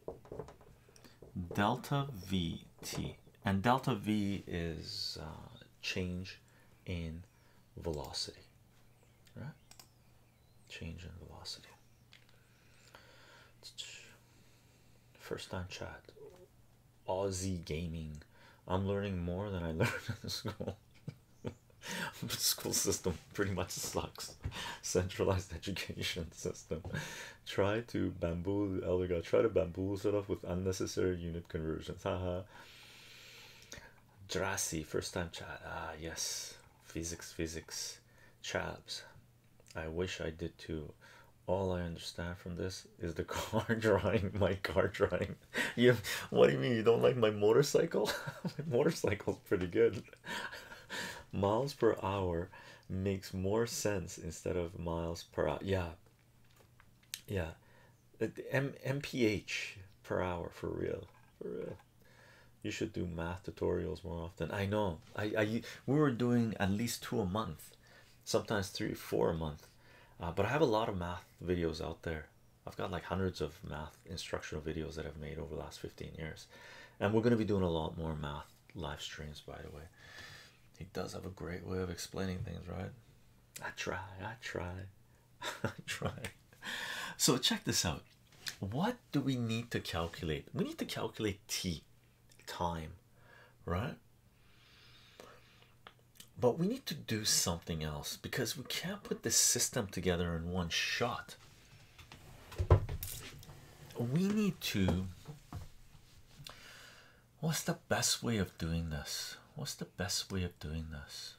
delta v t, and delta v is uh, change in velocity, right? Change in velocity. First time chat. Aussie gaming. I'm learning more than I <laughs> learned in school. the <laughs> school system pretty much sucks. Centralized <laughs> education system. Try to bamboozle elder Elga. Try to bamboozle off with unnecessary unit conversions. Ha ha. Drassi, first time chat. Ah yes. Physics, physics, chaps. I wish I did too. All I understand from this is the <laughs> car driving. my car driving. You, what do you mean you don't like my motorcycle? <laughs> my motorcycle's pretty good. <laughs> miles per hour makes more sense instead of miles per hour. Yeah, yeah. Uh, M MPH per hour for real, for real. You should do math tutorials more often. I know. I, I we were doing at least two a month, sometimes three, four a month. Uh, but I have a lot of math videos out there. I've got like hundreds of math instructional videos that I've made over the last 15 years, and we're going to be doing a lot more math live streams. By the way, he does have a great way of explaining things, right? I try, I try, <laughs> I try. So check this out. What do we need to calculate? We need to calculate t time, right? But we need to do something else because we can't put this system together in one shot. We need to. What's the best way of doing this? What's the best way of doing this?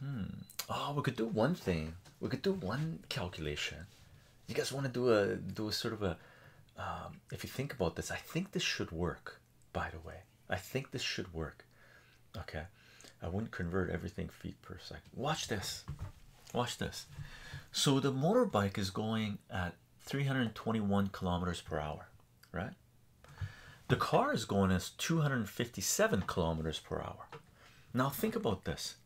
Hmm. Oh, we could do one thing. We could do one calculation. You guys want to do a do a sort of a. Um, if you think about this, I think this should work. By the way, I think this should work. Okay, I wouldn't convert everything feet per second. Watch this. Watch this. So the motorbike is going at 321 kilometers per hour, right? The car is going as 257 kilometers per hour. Now, think about this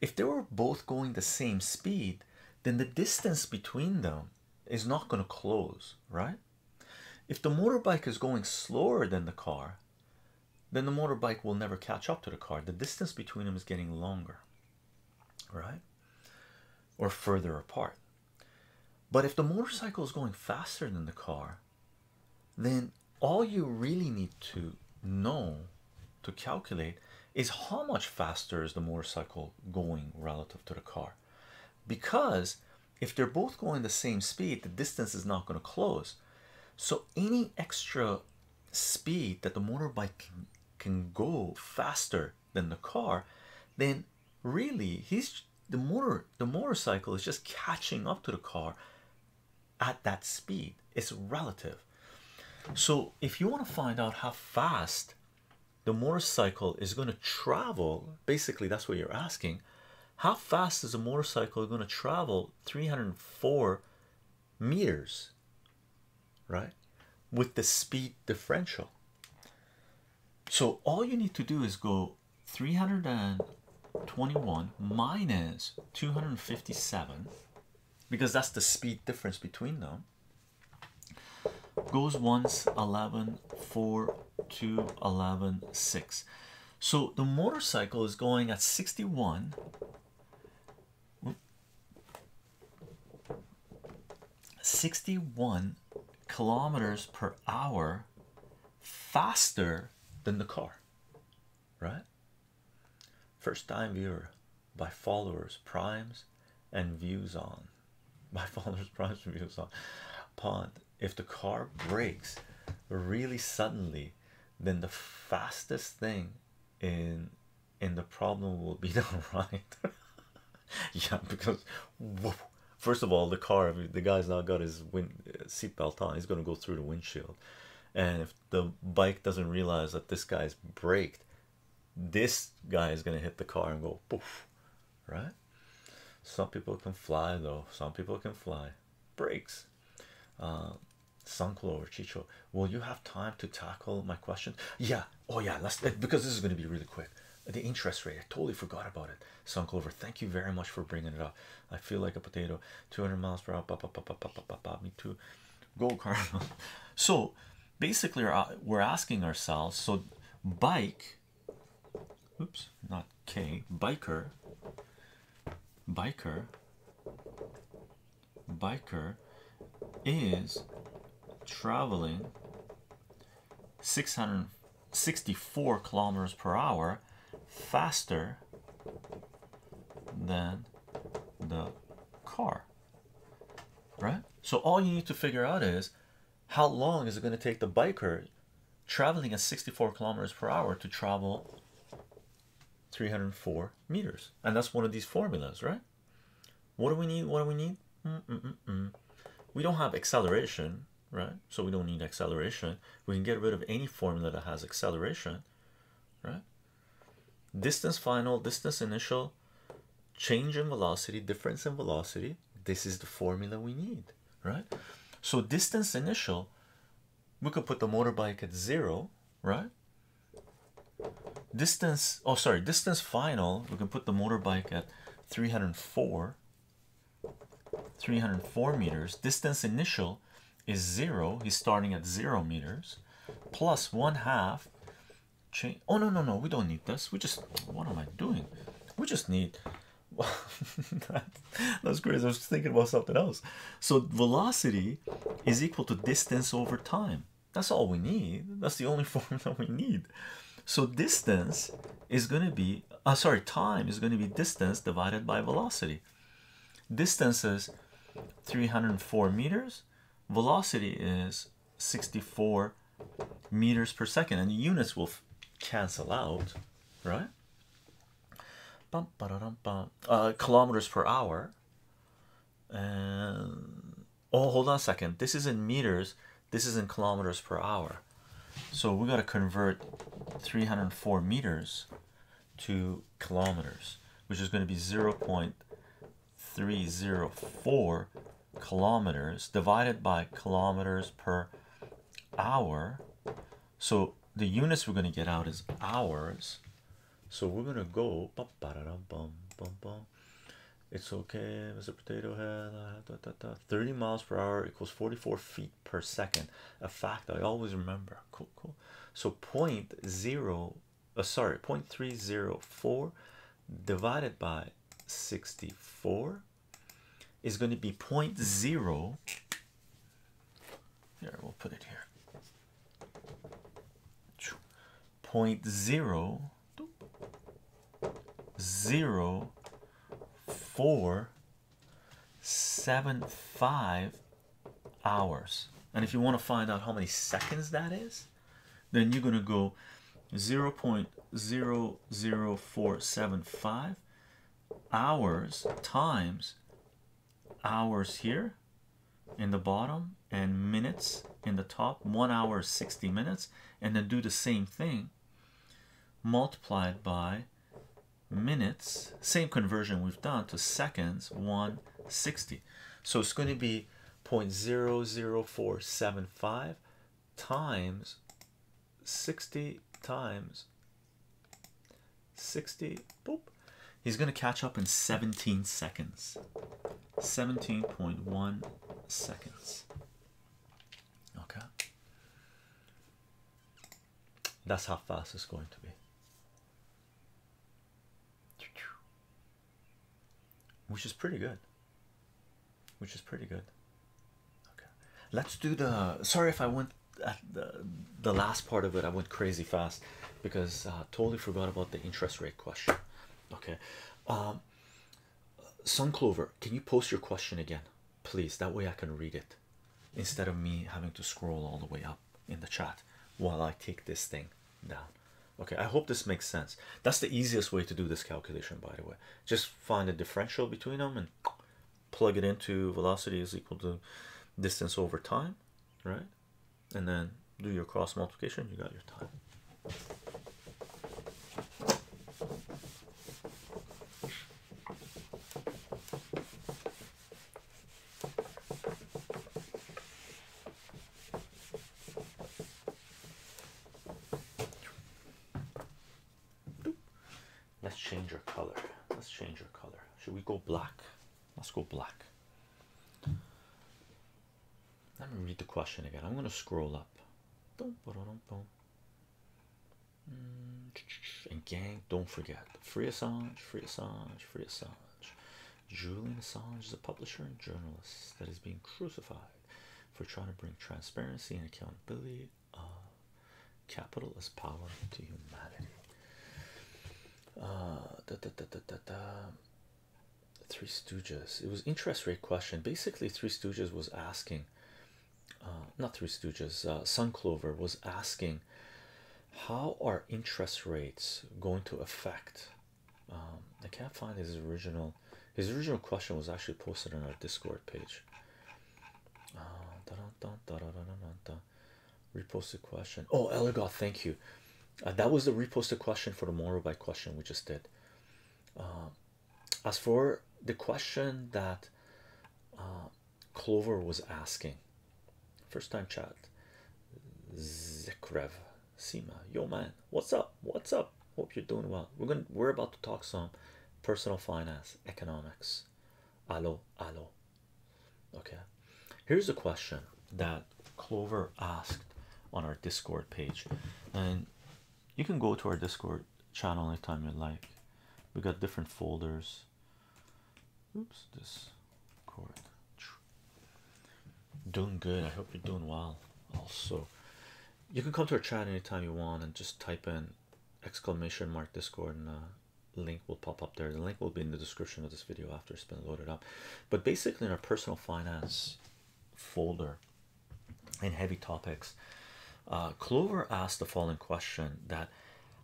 if they were both going the same speed, then the distance between them is not going to close, right? If the motorbike is going slower than the car, then the motorbike will never catch up to the car. The distance between them is getting longer, right? Or further apart. But if the motorcycle is going faster than the car, then all you really need to know to calculate is how much faster is the motorcycle going relative to the car because if they're both going the same speed the distance is not going to close so any extra speed that the motorbike can, go faster than the car then really he's the motor the motorcycle is just catching up to the car at that speed it's relative so if you want to find out how fast the motorcycle is going to travel basically that's what you're asking how fast is a motorcycle going to travel 304 meters right with the speed differential so all you need to do is go 321 minus 257 because that's the speed difference between them goes once 11 4 so the motorcycle is going at 61 61 kilometers per hour faster than the car right? First time viewer by followers, primes, and views on <laughs> by followers, primes, and views on pond. If the car breaks really suddenly, then the fastest thing in in the problem will be <laughs> the right. <laughs> yeah, because first of all, the car, the guy's now got his wind. Uh, Belt on, he's going to go through the windshield. And if the bike doesn't realize that this guy's braked, this guy is going to hit the car and go poof, right? Some people can fly though, some people can fly. Brakes. Uh, Sunklo or Chicho, will you have time to tackle my question? Yeah, oh yeah, let eh, because this is going to be really quick. The interest rate, I totally forgot about it. Sunclover, thank you very much for bringing it up. I feel like a potato. 200 miles per hour. me too. Go, <laughs> Carlo. So basically, we're asking ourselves so bike, oops, not K, biker, biker, biker is traveling 600 64 kilometers per hour faster than the car right so all you need to figure out is how long is it going to take the biker traveling at 64 kilometers per hour to travel 304 meters and that's one of these formulas right what do we need what do we need mm, mm, mm, we don't have acceleration right? So we don't need acceleration. We can get rid of any formula that has acceleration, right? Distance final, distance initial, change in velocity, difference in velocity. This is the formula we need, right? So distance initial, we could put the motorbike at zero, right? Distance, oh sorry, distance final, we can put the motorbike at 304, 304 meters. Distance initial is zero. He's starting at zero meters plus one half Oh, no, no, no, we don't need this. We just what am I doing? We just need <laughs> that, that's crazy. I was thinking about something else. So, velocity is equal to distance over time. That's all we need. That's the only <laughs> formula we need. So, distance is going to be, uh, sorry, time is going to be distance divided by velocity velocity. Distance is 304 meters. Velocity is 64 meters per second. And units will cancel out, right? Uh, kilometers per hour. oh, hold on a second. This is in meters. This is in kilometers per hour. So we got to convert 304 meters to kilometers, which is going to be 0 0.304 kilometers divided by kilometers per hour. So the units we're going to get out is hours. So we're going to go. It's okay, Mr. Potato Head. Uh, 30 miles per hour equals 44 feet per second a fact i always remember cool cool so point zero uh, sorry 0.304 divided by 64 is going to be point zero here we'll put it here point zero zero four seven five hours and if you want to find out how many seconds that is then you're going to go 0 0.00475 hours times hours here in the bottom and minutes in the top one hour 60 minutes and then do the same thing multiplied by minutes same conversion we've done to seconds 160 so it's going to be 0 0.00475 times 60 times 60 boop he's going to catch up in 17 seconds 17.1 seconds okay that's how fast it's going to be. Which is pretty good. Which is pretty good. Okay, let's do the. Sorry if I went the the last part of it. I went crazy fast because uh, totally forgot about the interest rate question. Okay, um, Sun Clover, can you post your question again, please? That way I can read it instead of me having to scroll all the way up in the chat while I take this thing down. Okay, I hope this makes sense. That's the easiest way to do this calculation, by the way. Just find the differential between them and plug it into velocity is equal to distance over time, right? And then do your cross multiplication, you got your time. Let's change our color. Let's change our color. Should we go black? Let's go black. Let me read the question again. I'm going to scroll up. Mm. and gang, don't forget free Assange, free Assange, free Assange. Julian Assange is a publisher and journalist that is being crucified for trying to bring transparency and accountability of capital as power to humanity. Uh, da, da, da, da, da, Three Stooges. It was interest rate question. Basically, Three Stooges was asking, uh, not Three Stooges. Uh, Sun Clover was asking how are interest rates going to affect um, I can't find his original his original question was actually posted on our discord page uh, reposted question oh Elgar thank you uh, that was the reposted question for the moral by question we just did uh, as for the question that clover was asking first time chat zekrev Sima, yo man what's up what's up hope you're doing well we're gonna we're about to talk some personal finance economics allo allo okay here's a question that clover asked on our discord page and you can go to our discord channel anytime you like we got different folders Oops, this cord. Doing good. I hope you're doing well. Also, you can come to our chat anytime you want and just type in exclamation mark Discord and uh, link will pop up there. The link will be in the description of this video after it's been loaded up. But basically, in our personal finance folder in heavy topics, uh, Clover asked the following question: that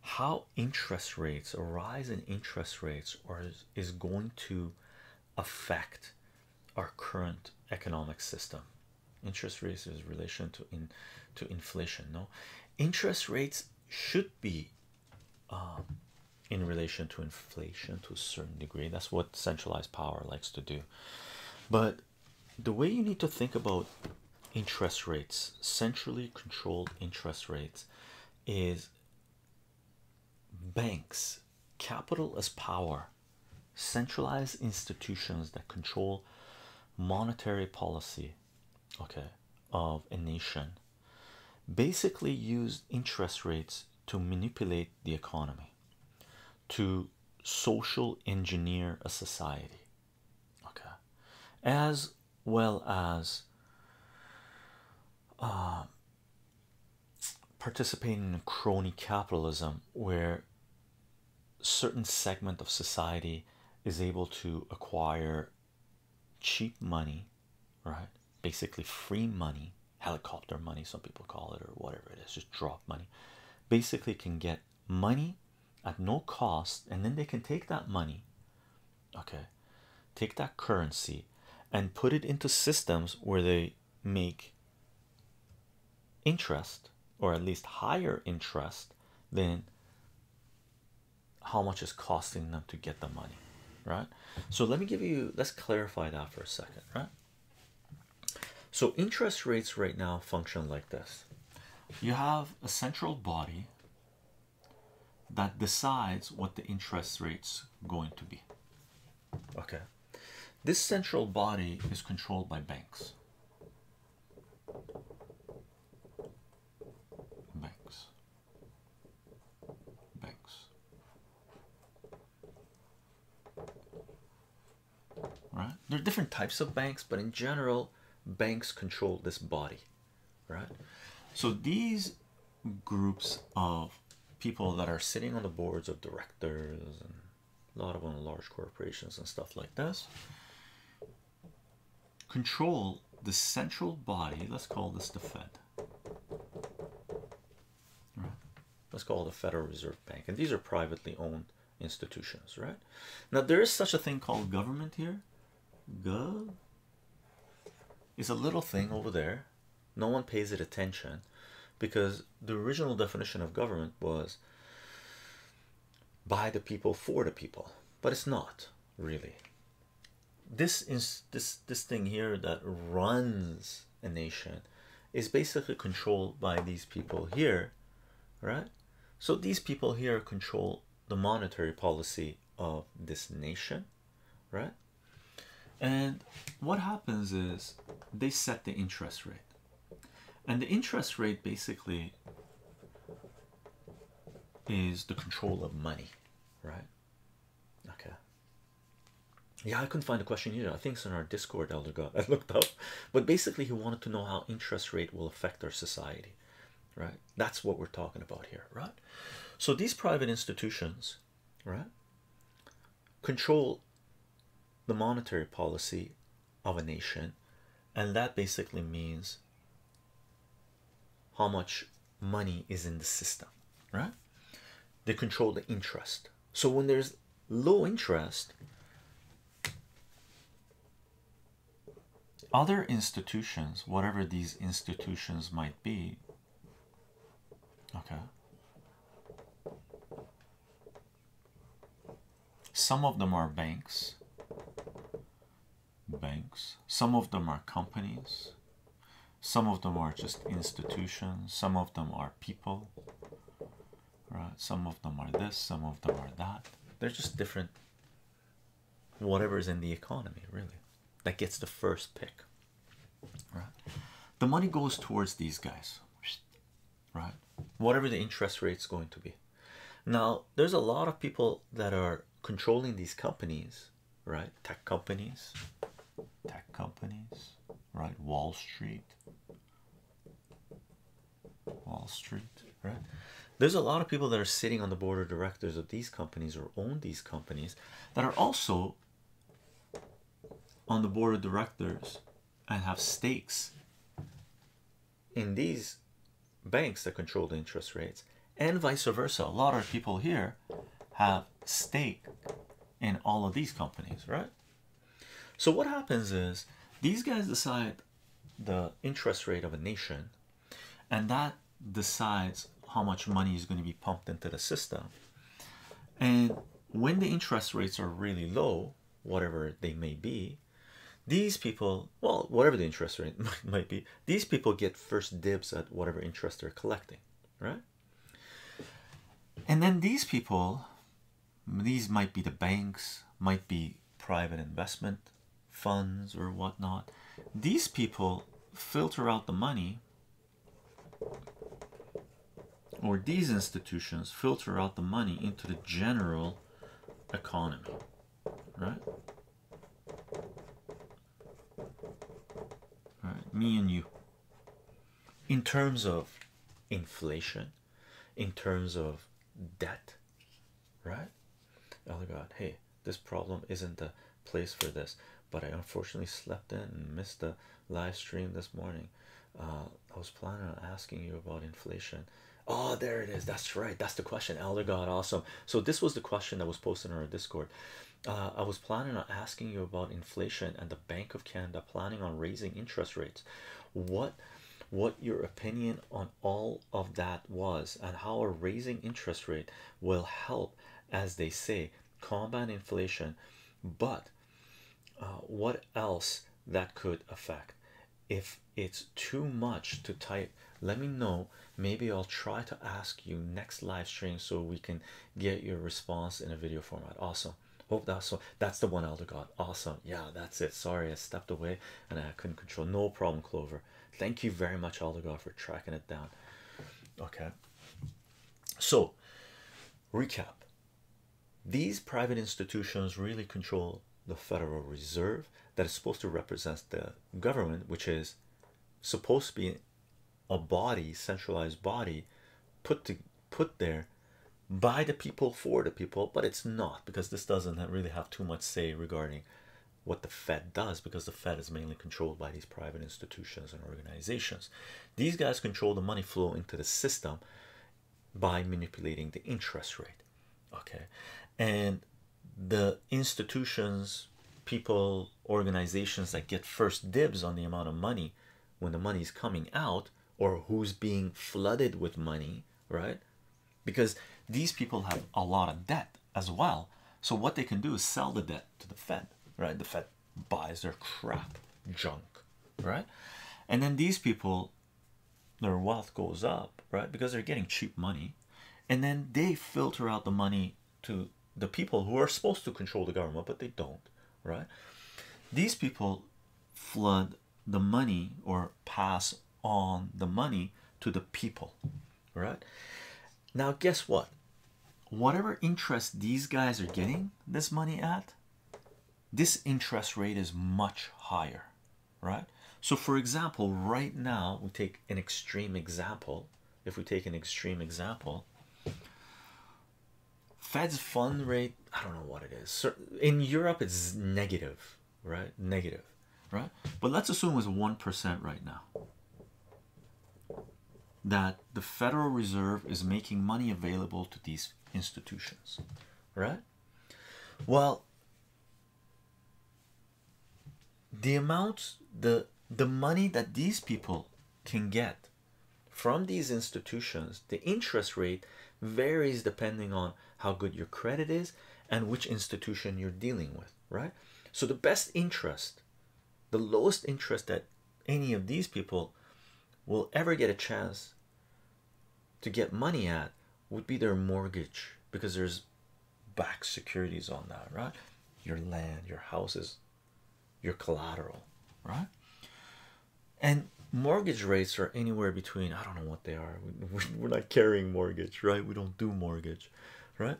how interest rates, a rise in interest rates, or is, going to affect our current economic system. Interest rates is relation to in to inflation. No, interest rates should be um, in relation to inflation to a certain degree. That's what centralized power likes to do. But the way you need to think about interest rates, centrally controlled interest rates, is banks, capital as power, centralized institutions that control monetary policy, okay, of a nation, basically use interest rates to manipulate the economy, to social engineer a society okay, as well as um, participating in crony capitalism where certain segment of society is able to acquire cheap money right basically free money helicopter money some people call it or whatever it is just drop money basically can get money at no cost, and then they can take that money, okay, take that currency and put it into systems where they make interest or at least higher interest than how much is costing them to get the money right so let me give you let's clarify that for a second right so interest rates right now function like this you have a central body that decides what the interest rate's going to be. Okay. This central body is controlled by banks. Banks. Banks. Right? There are different types of banks, but in general, banks control this body right? So these groups of people that are sitting on the boards of directors and a lot of them large corporations and stuff like this control the central body. Let's call this the Fed. Let's call it the Federal Reserve Bank. And these are privately owned institutions, right? Now there is such a thing called government here, Good. It's a little thing over there. No one pays it attention because the original definition of government was by the people for the people, but it's not really. This is this this thing here that runs a nation is basically controlled by these people here, right? So these people here control the monetary policy of this nation, right? And what happens is they set the interest rate, and the interest rate basically is the control of money, right? Okay. Yeah, I couldn't find the question here. I think it's on our Discord, Elder God. <laughs> I looked up, but basically, he wanted to know how interest rate will affect our society right? That's what we're talking about here, right? So these private institutions, right, control the monetary policy of a nation, and that basically means how much money is in the system, right? They control the interest. So when there's low interest, other institutions, whatever these institutions might be, okay, some of them are banks, banks, some of them are companies, some of them are just institutions, some of them are people, right? Some of them are this, some of them are that. They're just different Whatever is in the economy, really, that gets the first pick. Right, the money goes towards these guys, right? Whatever the interest rate is going to be. Now, there's a lot of people that are controlling these companies, right? Tech companies, tech companies, right? Wall Street, Wall Street, right? There's a lot of people that are sitting on the board of directors of these companies or own these companies that are also on the board of directors and have stakes in these banks that control the interest rates, and vice versa. A lot of people here have stake in all of these companies, right? So, what happens is these guys decide the interest rate of a nation and that decides how much money is going to be pumped into the system and when the interest rates are really low whatever they may be these people well whatever the interest rate <laughs> might, be these people get first dibs at whatever interest they're collecting right and then these people these might be the banks might be private investment funds or whatnot. These people filter out the money, or these institutions filter out the money into the general economy, right? me and you. In terms of inflation, in terms of debt, right? Elder oh God, hey, this problem isn't the place for this, but I unfortunately slept in and missed the live stream this morning. Uh, I was planning on asking you about inflation. Oh, there it is. That's right. That's the question, Elder God. Awesome. So, this was the question that was posted on our Discord. Uh, I was planning on asking you about inflation and the Bank of Canada planning on raising interest rates. What, what your opinion on all of that was and how a raising interest rate will help as they say combat inflation but uh, what else that could affect if it's too much to type let me know maybe i'll try to ask you next live stream so we can get your response in a video format awesome hope that's so that's the one elder god awesome yeah that's it sorry i stepped away and i couldn't control no problem clover thank you very much Oligar for tracking it down okay so recap these private institutions really control the Federal Reserve that is supposed to represent the government which is supposed to be a body centralized body put to put there by the people for the people but it's not because this doesn't really have too much say regarding what the Fed does because the Fed is mainly controlled by these private institutions and organizations. These guys control the money flow into the system by manipulating the interest rate. Okay, and the institutions, people, organizations that get first dibs on the amount of money when the money is coming out or who's being flooded with money, right? Because these people have a lot of debt as well. So what they can do is sell the debt to the Fed, right? The Fed buys their crap junk, right? And then these people, their wealth goes up, right? Because they're getting cheap money, and then they filter out the money to the people who are supposed to control the government, but they don't, right? These people flood the money or pass on the money to the people right now guess what whatever interest these guys are getting this money at this interest rate is much higher right so for example right now we take an extreme example if we take an extreme example fed's fund rate i don't know what it is in europe it's negative right negative right? But let's assume it's 1% right now that the Federal Reserve is making money available to these institutions, right? Well, the amount, the the money that these people can get from these institutions, the interest rate varies depending on how good your credit is and which institution you're dealing with right? So the best interest, the lowest interest that any of these people will ever get a chance to get money at would be their mortgage because there's back securities on that, right? Your land, your houses, your collateral, right? And mortgage rates are anywhere between, I don't know what they are. We're not carrying mortgage, right? We don't do mortgage, right?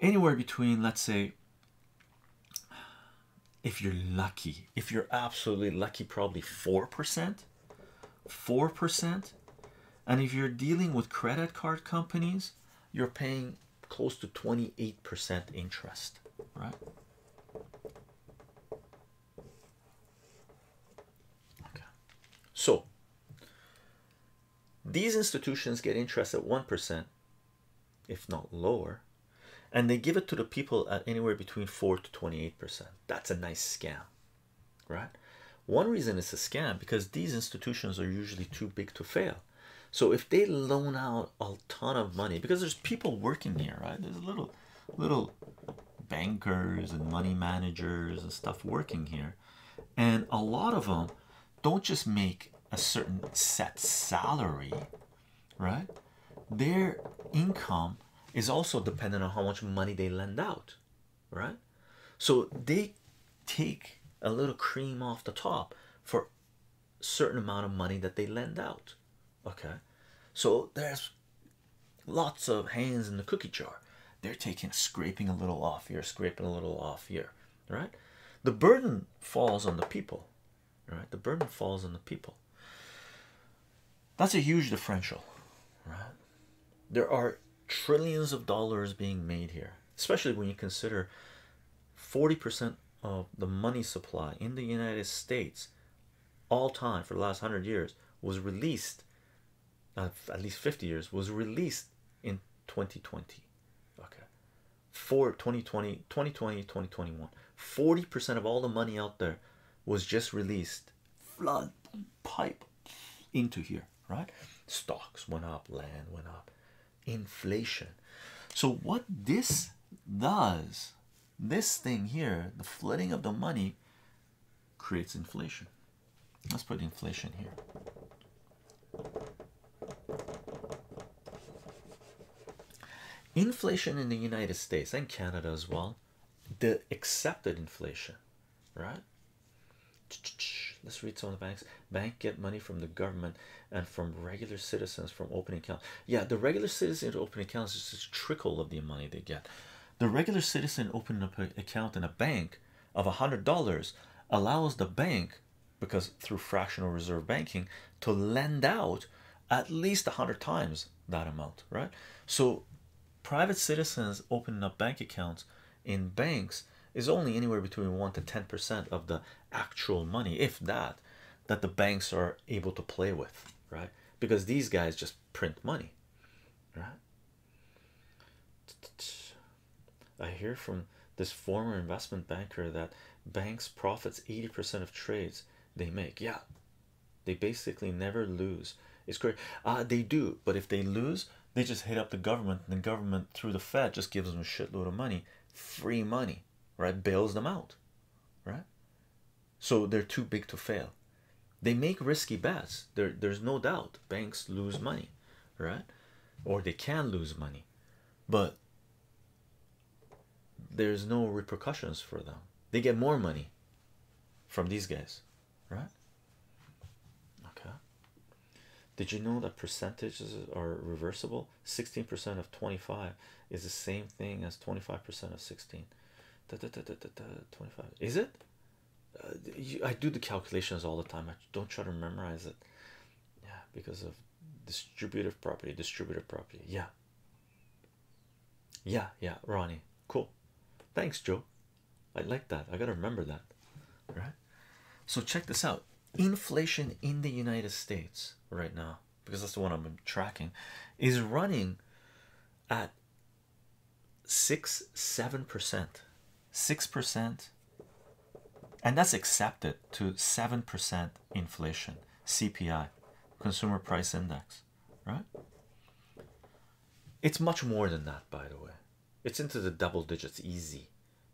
anywhere between, let's say, if you're lucky, if you're absolutely lucky, probably 4%, 4%. And if you're dealing with credit card companies, you're paying close to 28% interest, right? Okay. So, these institutions get interest at 1%, if not lower, and they give it to the people at anywhere between 4 to 28%. That's a nice scam, right? One reason it's a scam because these institutions are usually too big to fail. So if they loan out a ton of money, because there's people working here, right? There's little, little bankers and money managers and stuff working here. And a lot of them don't just make a certain set salary, right? Their income is also dependent on how much money they lend out, right? So they take a little cream off the top for certain amount of money that they lend out. Okay, so there's lots of hands in the cookie jar. They're taking scraping a little off here, scraping a little off here right the burden falls on the people right the burden falls on the people that's a huge differential right there are trillions of dollars being made here especially when you consider 40% of the money supply in the United States all time for the last 100 years was released uh, at least 50 years was released in 2020 okay for 2020 2020 2021 40 percent of all the money out there was just released flood pipe into here right stocks went up land went up inflation so what this does this thing here the flooding of the money creates inflation Let's put inflation here. Inflation in the United States and Canada as well, the accepted inflation, right? Let's read some of the banks. Bank get money from the government and from regular citizens from opening accounts. Yeah, the regular citizen opening accounts is a trickle of the money they get. The regular citizen opening up an account in a bank of a hundred dollars allows the bank because through fractional reserve banking to lend out at least a hundred times that amount, right? So private citizens opening up bank accounts in banks is only anywhere between one to ten percent of the actual money, if that, that the banks are able to play with, right? Because these guys just print money, right? I hear from this former investment banker that banks profits 80% of trades they make. Yeah, they basically never lose. It's great. Uh, they do, but if they lose, they just hit up the government, and the government through the Fed just gives them a shitload of money, free money, right? Bails them out, right? So they're too big to fail. They make risky bets. there's no doubt banks lose money, right? Or they can lose money, but there's no repercussions for them. They get more money from these guys, right? Okay. Did you know that percentages are reversible? 16% of 25 is the same thing as 25% of 16. 25. Is it? Uh, I do the calculations all the time. I don't try to memorize it yeah because of distributive property distributive property yeah yeah yeah ronnie cool thanks joe i like that i gotta remember that right so check this out inflation in the united states right now because that's the one i'm tracking is running at six seven percent 6%, and that's accepted to 7% inflation, CPI, Consumer Price Index, right? It's much more than that, by the way. It's into the double digits, easy,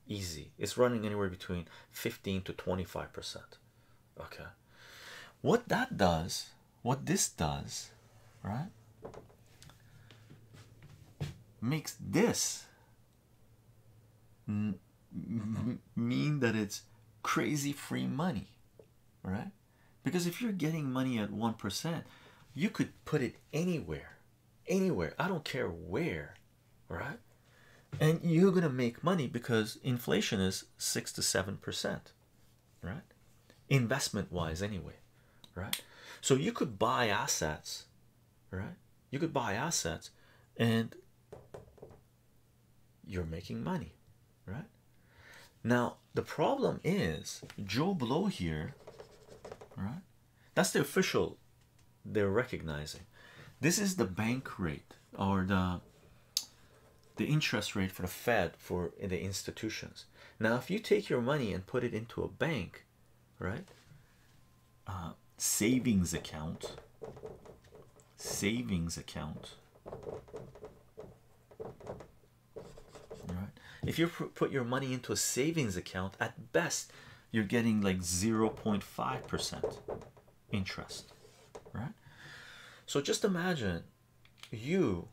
easy. It's running anywhere between 15 to 25%. Okay. What that does, what this does, right? Makes this mean that it's crazy free money, right? Because if you're getting money at 1%, you could put it anywhere, anywhere. I don't care where, right? And you're going to make money because inflation is 6 to 7%, right? Investment wise, anyway, right? So you could buy assets right? You could buy assets and you're making money, right? Now, the problem is Joe Blow here, right? That's the official they're recognizing. This is the bank rate or the the interest rate for the Fed for the institutions. Now, if you take your money and put it into a bank, right? Uh, savings account, savings account. All right. If you put your money into a savings account, at best, you're getting like 0.5% interest, right? So just imagine you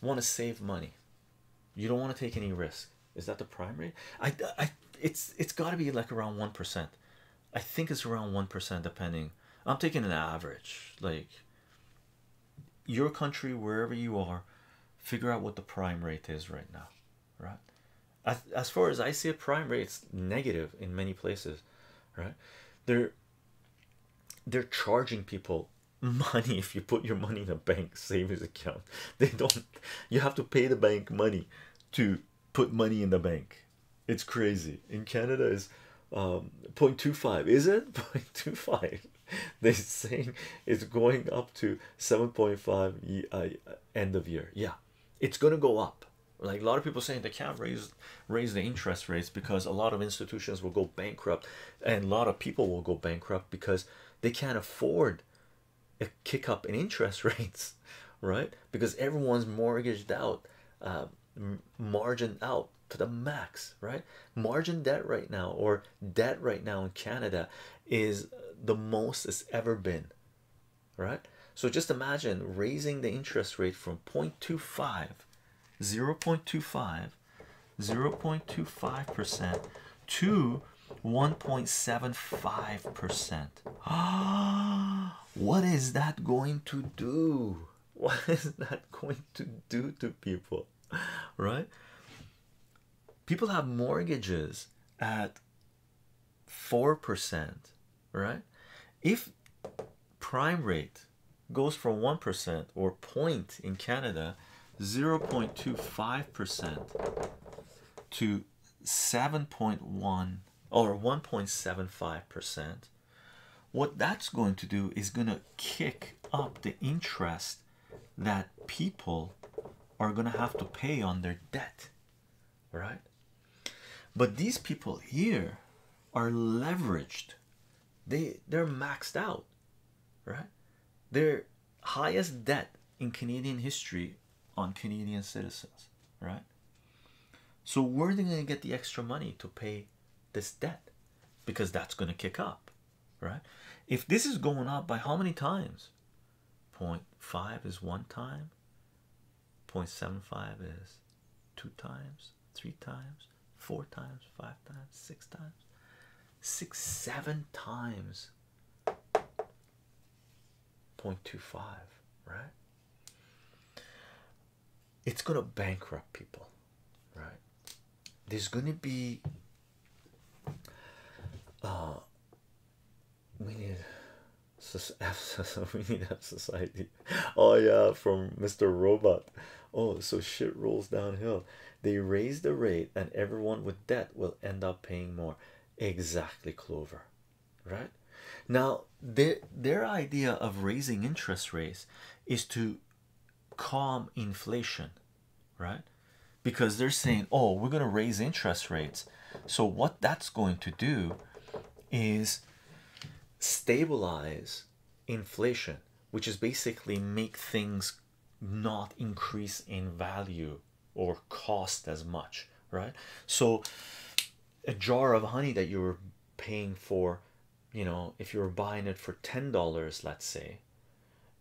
want to save money. You don't want to take any risk. Is that the primary? I, I it's it's got to be like around one percent. I think it's around one percent, depending. I'm taking an average, like your country, wherever you are, figure out what the prime rate is right now, right? As, as far as I see it, prime rate's negative in many places, right? They're they're charging people money if you put your money in a bank savings account. <laughs> They don't. You have to pay the bank money to put money in the bank. It's crazy. In Canada is um 0.25 is it <laughs> 0.25 <laughs> they're saying it's going up to 7.5 uh, end of year yeah it's gonna go up like a lot of people saying they can't raise raise the interest rates because a lot of institutions will go bankrupt and a lot of people will go bankrupt because they can't afford a kick up in interest <laughs> rates, right? Because everyone's mortgaged out, uh, margin out to the max, right? Margin debt right now, or debt right now in Canada, is the most it's ever been, right? So just imagine raising the interest rate from 0.25, 0.25, 0.25 percent to 1.75%. <gasps> what is that going to do? What is that going to do to people? Right? People have mortgages at 4%, right? If prime rate goes from 1% or point in Canada 0.25% to 7.1 or 1.75%, what that's going to do is going to kick up the interest that people are going to have to pay on their debt, right? But these people here are leveraged. They they're maxed out, right? They're highest debt in Canadian history on Canadian citizens, right? So, where are they going to get the extra money to pay this debt? Because that's going to kick up, right? If this is going up by how many times? 0.5 is one time, 0.75 is two times, three times, four times, five times, six times, six, seven times 0.25, right? It's gonna bankrupt people, right? There's gonna be uh we need <laughs> we need a society. Oh yeah, from Mr. Robot. Oh, so shit rolls downhill. They raise the rate and everyone with debt will end up paying more. Exactly, Clover right now their their idea of raising interest rates is to calm inflation right because they're saying oh we're going to raise interest rates so what that's going to do is stabilize inflation which is basically make things not increase in value or cost as much, right? So, a jar of honey that you are paying for, you know, if you are buying it for ten dollars, let's say,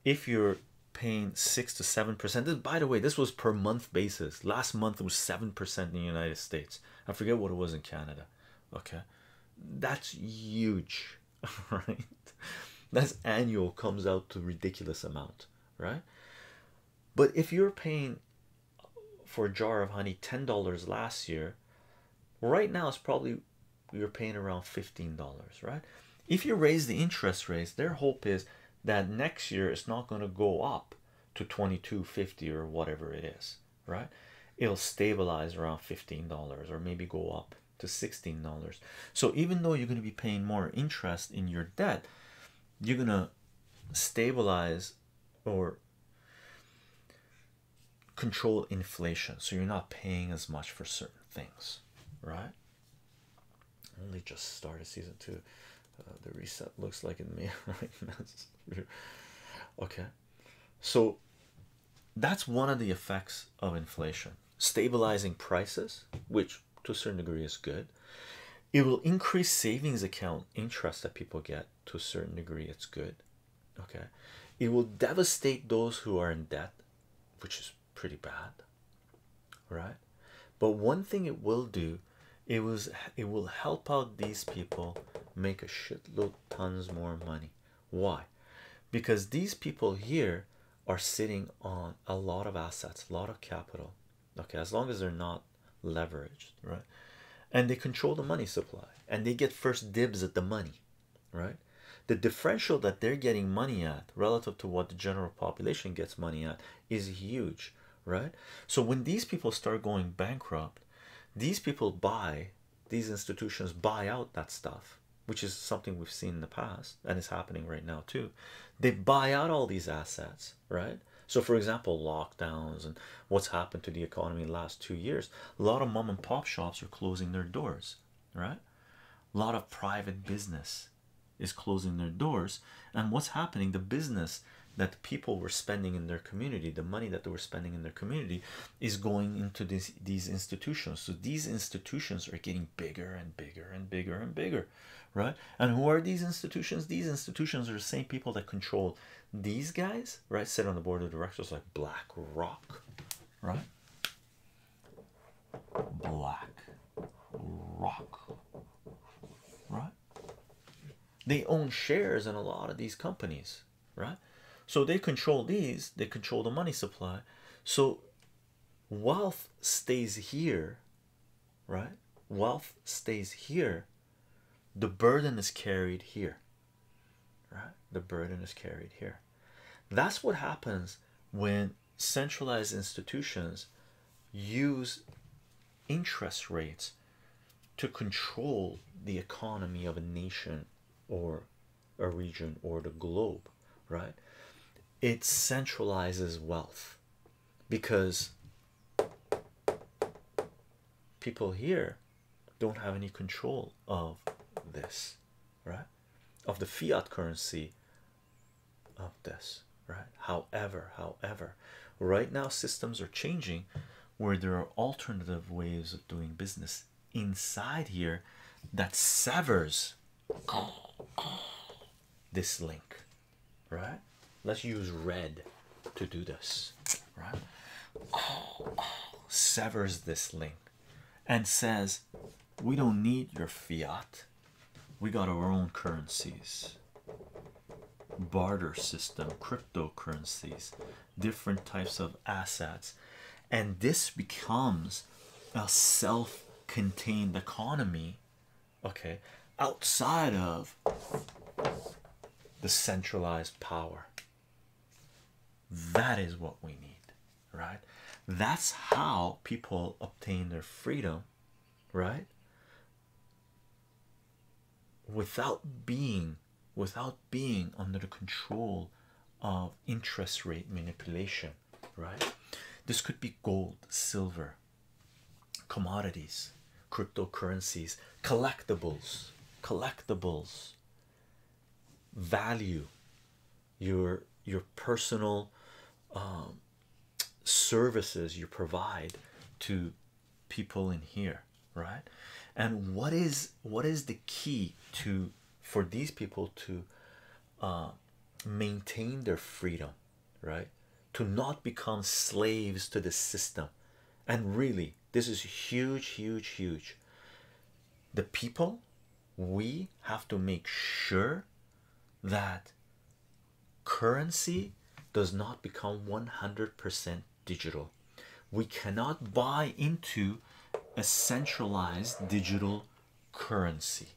if you're paying six to seven percent, This, by the way, this was per month basis. Last month was seven percent in the United States. I forget what it was in Canada. Okay, that's huge, <laughs> right? That's annual comes out to ridiculous amount, right? But if you're paying for a jar of honey $10 last year, right now it's probably you're paying around $15, right? If you raise the interest rates, their hope is that next year it's not going to go up to 22.50 or whatever it is, right? It'll stabilize around $15 or maybe go up to $16. So even though you're going to be paying more interest in your debt, you're going to stabilize or control inflation so you're not paying as much for certain things right only just started season two uh, the reset looks like in me <laughs> okay so that's one of the effects of inflation stabilizing prices which to a certain degree is good. It will increase savings account interest that people get to a certain degree, it's good. Okay, it will devastate those who are in debt, which is pretty bad, right? But one thing it will do, it was it will help out these people make a shitload tons more money. Why? Because these people here are sitting on a lot of assets, a lot of capital. Okay, as long as they're not leveraged, right? And they control the money supply and they get first dibs at the money, right? The differential that they're getting money at relative to what the general population gets money at is huge, right? So when these people start going bankrupt, these people buy, these institutions buy out that stuff, which is something we've seen in the past and is happening right now too. They buy out all these assets right? So, for example, lockdowns and what's happened to the economy in the last two years, a lot of mom and pop shops are closing their doors, right? A lot of private business is closing their doors, and what's happening? The business that people were spending in their community, the money that they were spending in their community, is going into these these institutions. So these institutions are getting bigger and bigger and bigger and bigger right and who are these institutions these institutions are the same people that control these guys right sit on the board of directors like black rock right black rock right they own shares in a lot of these companies right so they control these they control the money supply so wealth stays here right? Wealth stays here, the burden is carried here, right? The burden is carried here. That's what happens when centralized institutions use interest rates to control the economy of a nation or a region or the globe, right? It centralizes wealth because people here don't have any control of this, right? Of the fiat currency of this, right? However, however, right now systems are changing where there are alternative ways of doing business inside here that severs this link right? Let's use red to do this, right? Oh, severs this link and says, We don't need your fiat, we got our own currencies, barter system, cryptocurrencies, different types of assets, and this becomes a self contained economy okay, outside of the centralized power. That is what we need, right? That's how people obtain their freedom, right? Without being without being under the control of interest rate manipulation, right? This could be gold, silver, commodities, cryptocurrencies, collectibles, collectibles, value, your your personal um, services you provide to people in here, right? And what is what is the key to for these people to uh, maintain their freedom? right? To not become slaves to the system. And really, this is huge, huge, huge. The people, we have to make sure that currency does not become 100% digital. We cannot buy into a centralized digital currency.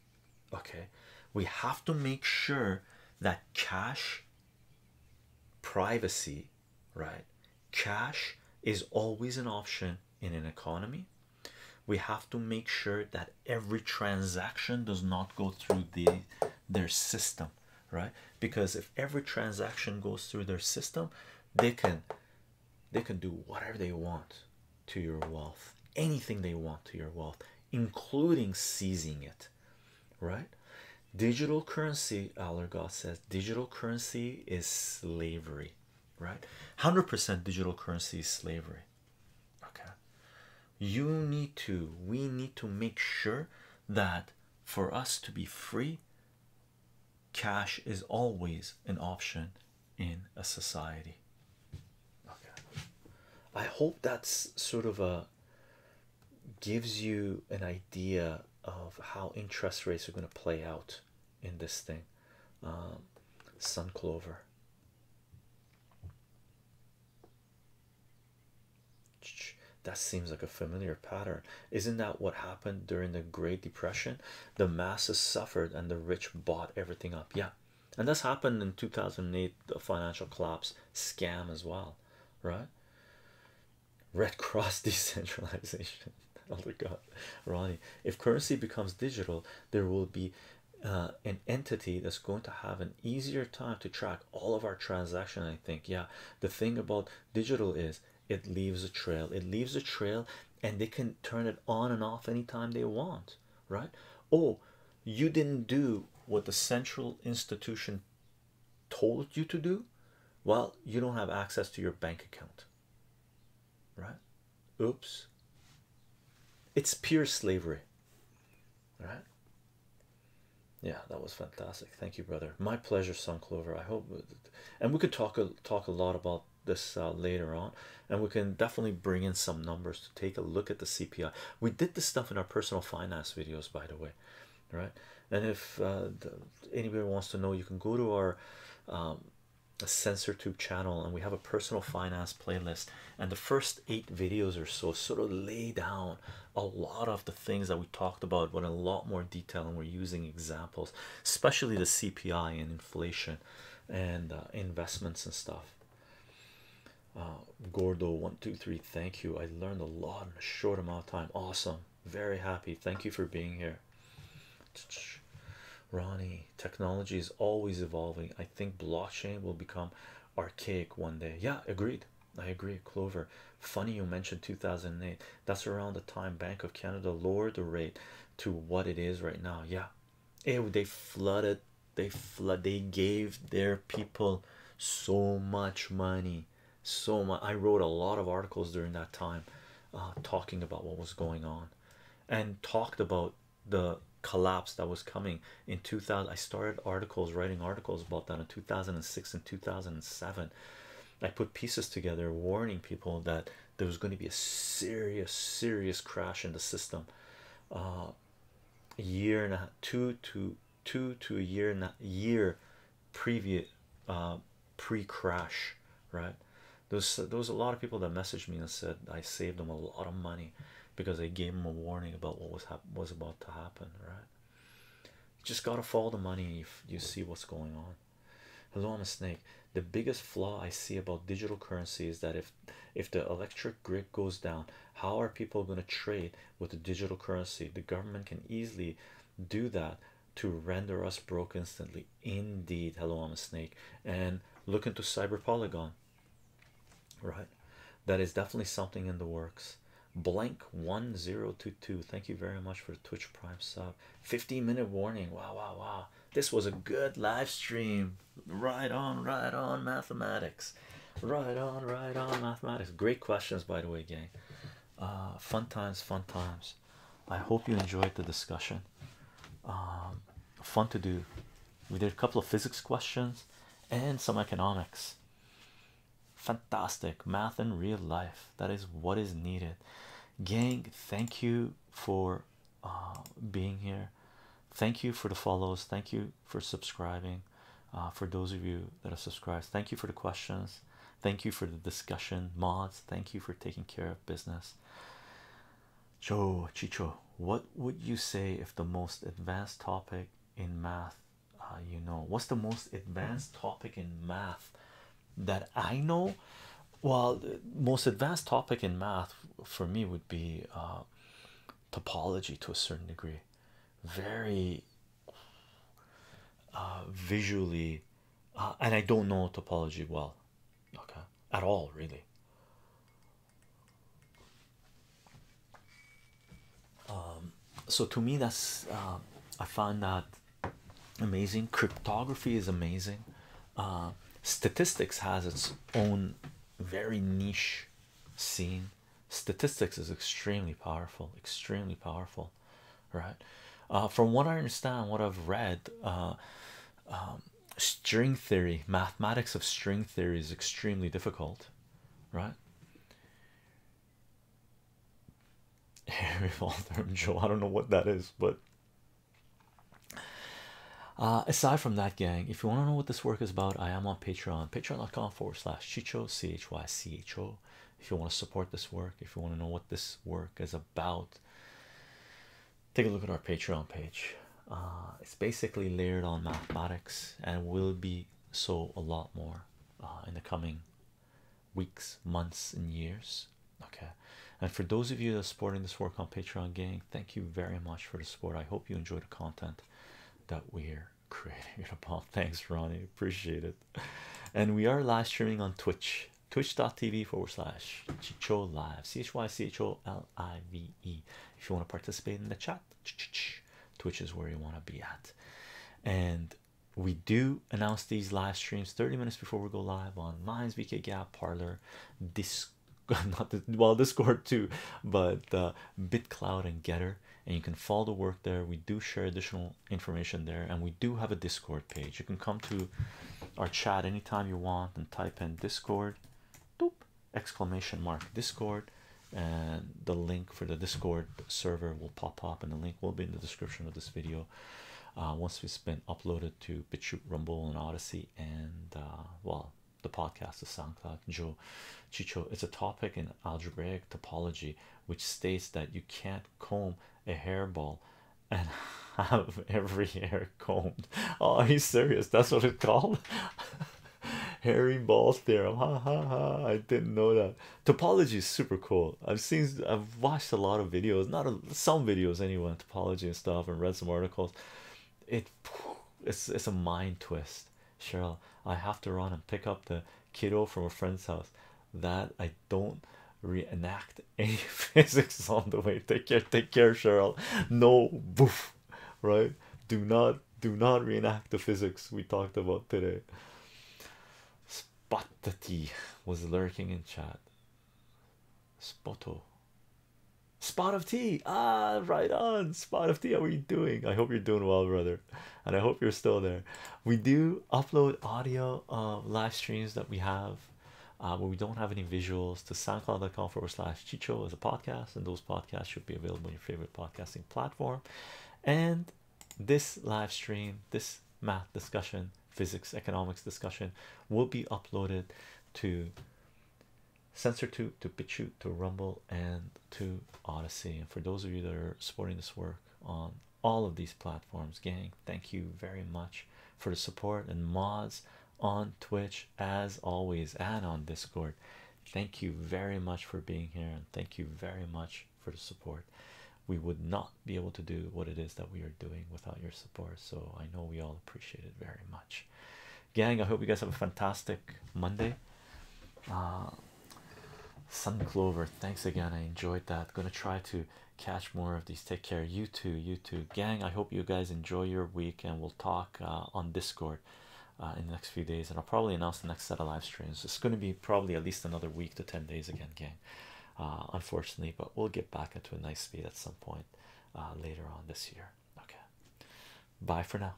Okay, we have to make sure that cash privacy, right? Cash is always an option in an economy. We have to make sure that every transaction does not go through the their system, right? Because if every transaction goes through their system, they can they can do whatever they want to your wealth, anything they want to your wealth, including seizing it right? Digital currency, Allergott says, digital currency is slavery, right? 100% digital currency is slavery, okay? You need to, we need to make sure that for us to be free, cash is always an option in a society. Okay. I hope that's sort of a gives you an idea of how interest rates are going to play out in this thing. Um, Sun Clover. That seems like a familiar pattern. Isn't that what happened during the Great Depression? The masses suffered and the rich bought everything up. Yeah. And this happened in 2008, the financial collapse scam as well right? Red Cross <laughs> decentralization. <laughs> Elder God, Ronnie. If currency becomes digital, there will be uh, an entity that's going to have an easier time to track all of our transaction. I think, yeah. The thing about digital is it leaves a trail. It leaves a trail, and they can turn it on and off anytime they want, right? Oh, you didn't do what the central institution told you to do well you don't have access to your bank account right oops it's pure slavery right yeah that was fantastic thank you brother my pleasure sun clover i hope and we could talk a talk a lot about this uh, later on and we can definitely bring in some numbers to take a look at the cpi we did this stuff in our personal finance videos, by the way. Right, and if uh, anybody wants to know, you can go to our um, sensor tube channel, and we have a personal finance playlist. And the first eight videos or so sort of lay down a lot of the things that we talked about, but in a lot more detail. And we're using examples, especially the CPI and inflation and uh, investments and stuff uh, Gordo one two three thank you I learned a lot in a short amount of time awesome very happy thank you for being here <tsk> Ronnie technology is always evolving I think blockchain will become archaic one day yeah agreed I agree Clover funny you mentioned 2008 that's around the time Bank of Canada lowered the rate to what it is right now yeah it, they flooded they flood they gave their people so much money so much i wrote a lot of articles during that time uh, talking about what was going on and talked about the collapse that was coming in 2000 i started articles writing articles about that in 2006 and 2007 i put pieces together warning people that there was going to be a serious serious crash in the system A uh, year and a half, two to two to a year not year previous uh, pre-crash right those those a lot of people that messaged me and said I saved them a lot of money because I gave them a warning about what was was about to happen right you just gotta follow the money if you see what's going on hello I'm a snake the biggest flaw I see about digital currency is that if if the electric grid goes down how are people going to trade with the digital currency. The government can easily do that to render us broke instantly. Indeed, hello, I'm a snake. And look into Cyber Polygon, right? That is definitely something in the works. Blank 1022. Thank you very much for the Twitch Prime sub. 15 minute warning. Wow, wow, wow. This was a good live stream. Right on, right on, mathematics right on right on mathematics great questions by the way gang uh, fun times fun times i hope you enjoyed the discussion um, fun to do we did a couple of physics questions and some economics fantastic math in real life that is what is needed gang thank you for uh, being here thank you for the follows thank you for subscribing. Uh, for those of you that are subscribed, thank you for the questions. Thank you for the discussion, mods. Thank you for taking care of business. Joe Chicho, what would you say if the most advanced topic in math uh, you know? What's the most advanced topic in math that I know? Well, the most advanced topic in math for me would be uh, topology to a certain degree. Very uh, visually, uh, and I don't know topology well, okay, at all, really. Um, so to me, that's uh, I found that amazing. Cryptography is amazing. statistics has its own very niche scene statistics is extremely powerful extremely powerful right uh, from what I understand what I've read uh, um, string theory mathematics of string theory is extremely difficult right <laughs> Harry Waltham Joe I don't know what that is but uh, aside from that gang if you want to know what this work is about I am on patreon patreon.com forward slash chicho c h y c h o if you want to support this work if you want to know what this work is about take a look at our patreon page uh, it's basically layered on mathematics and will be so a lot more uh, in the coming weeks months and years okay and for those of you that are supporting this work on patreon gang thank you very much for the support i hope you enjoy the content that we're creating it upon. Thanks, Ronnie. Appreciate it. And we are live streaming on Twitch, twitch.tv forward slash Chicho Live, C H Y C H O L I V E. If you want to participate in the chat, Twitch is where you want to be at. And we do announce these live streams 30 minutes before we go live on Minds, BK Gap, Parlor, Discord. <laughs> well, Discord too, but uh, BitCloud and Getter and you can follow the work there. We do share additional information there, and we do have a Discord page. You can come to our chat anytime you want and type in Discord, doop, exclamation mark Discord, and the link for the Discord server will pop up, and the link will be in the description of this video. Uh, once it's been uploaded to BitChute, Rumble, and Odyssey, and uh, well, the podcast is SoundCloud. Joe Chicho, it's a topic in algebraic topology which states that you can't comb a hairball and <laughs> have every hair combed. Oh, are you serious? That's what it's called. <laughs> Hairy balls theorem. I didn't know that. Topology is super cool. I've seen, I've watched a lot of videos, not some videos anyway, topology and stuff, and read some articles. It, it's it's a mind twist. Cheryl, I have to run and pick up the kiddo from a friend's house. That I don't reenact <laughs> any physics on the way. Take care, take care, Cheryl. No boof, right? Do not do not reenact the physics we talked about today. Spot tea was lurking in chat. Spoto. Spot of tea. Ah, right on. Spot of tea. How are you doing? I hope you're doing well, brother and i hope you're still there we do upload audio of live streams that we have but uh, we don't have any visuals to soundcloud.com forward slash chicho as a podcast and those podcasts should be available on your favorite podcasting platform and this live stream this math discussion physics economics discussion will be uploaded to sensor to to pitchu to rumble and to Odyssey. And for those of you that are supporting this work on all of these platforms, gang, thank you very much for the support and mods on Twitch as always and on Discord. Thank you very much for being here and thank you very much for the support. We would not be able to do what it is that we are doing without your support. So I know we all appreciate it very much. Gang, I hope you guys have a fantastic Monday. Uh, Sun Clover, thanks again. I enjoyed that. Gonna try to catch more of these. Take care. You too, you too. Gang, I hope you guys enjoy your week and we'll talk uh, on Discord uh, in the next few days. And I'll probably announce the next set of live streams. It's gonna be probably at least another week to 10 days again, gang. Uh, unfortunately, but we'll get back into a nice speed at some point later on this year. Okay, bye for now.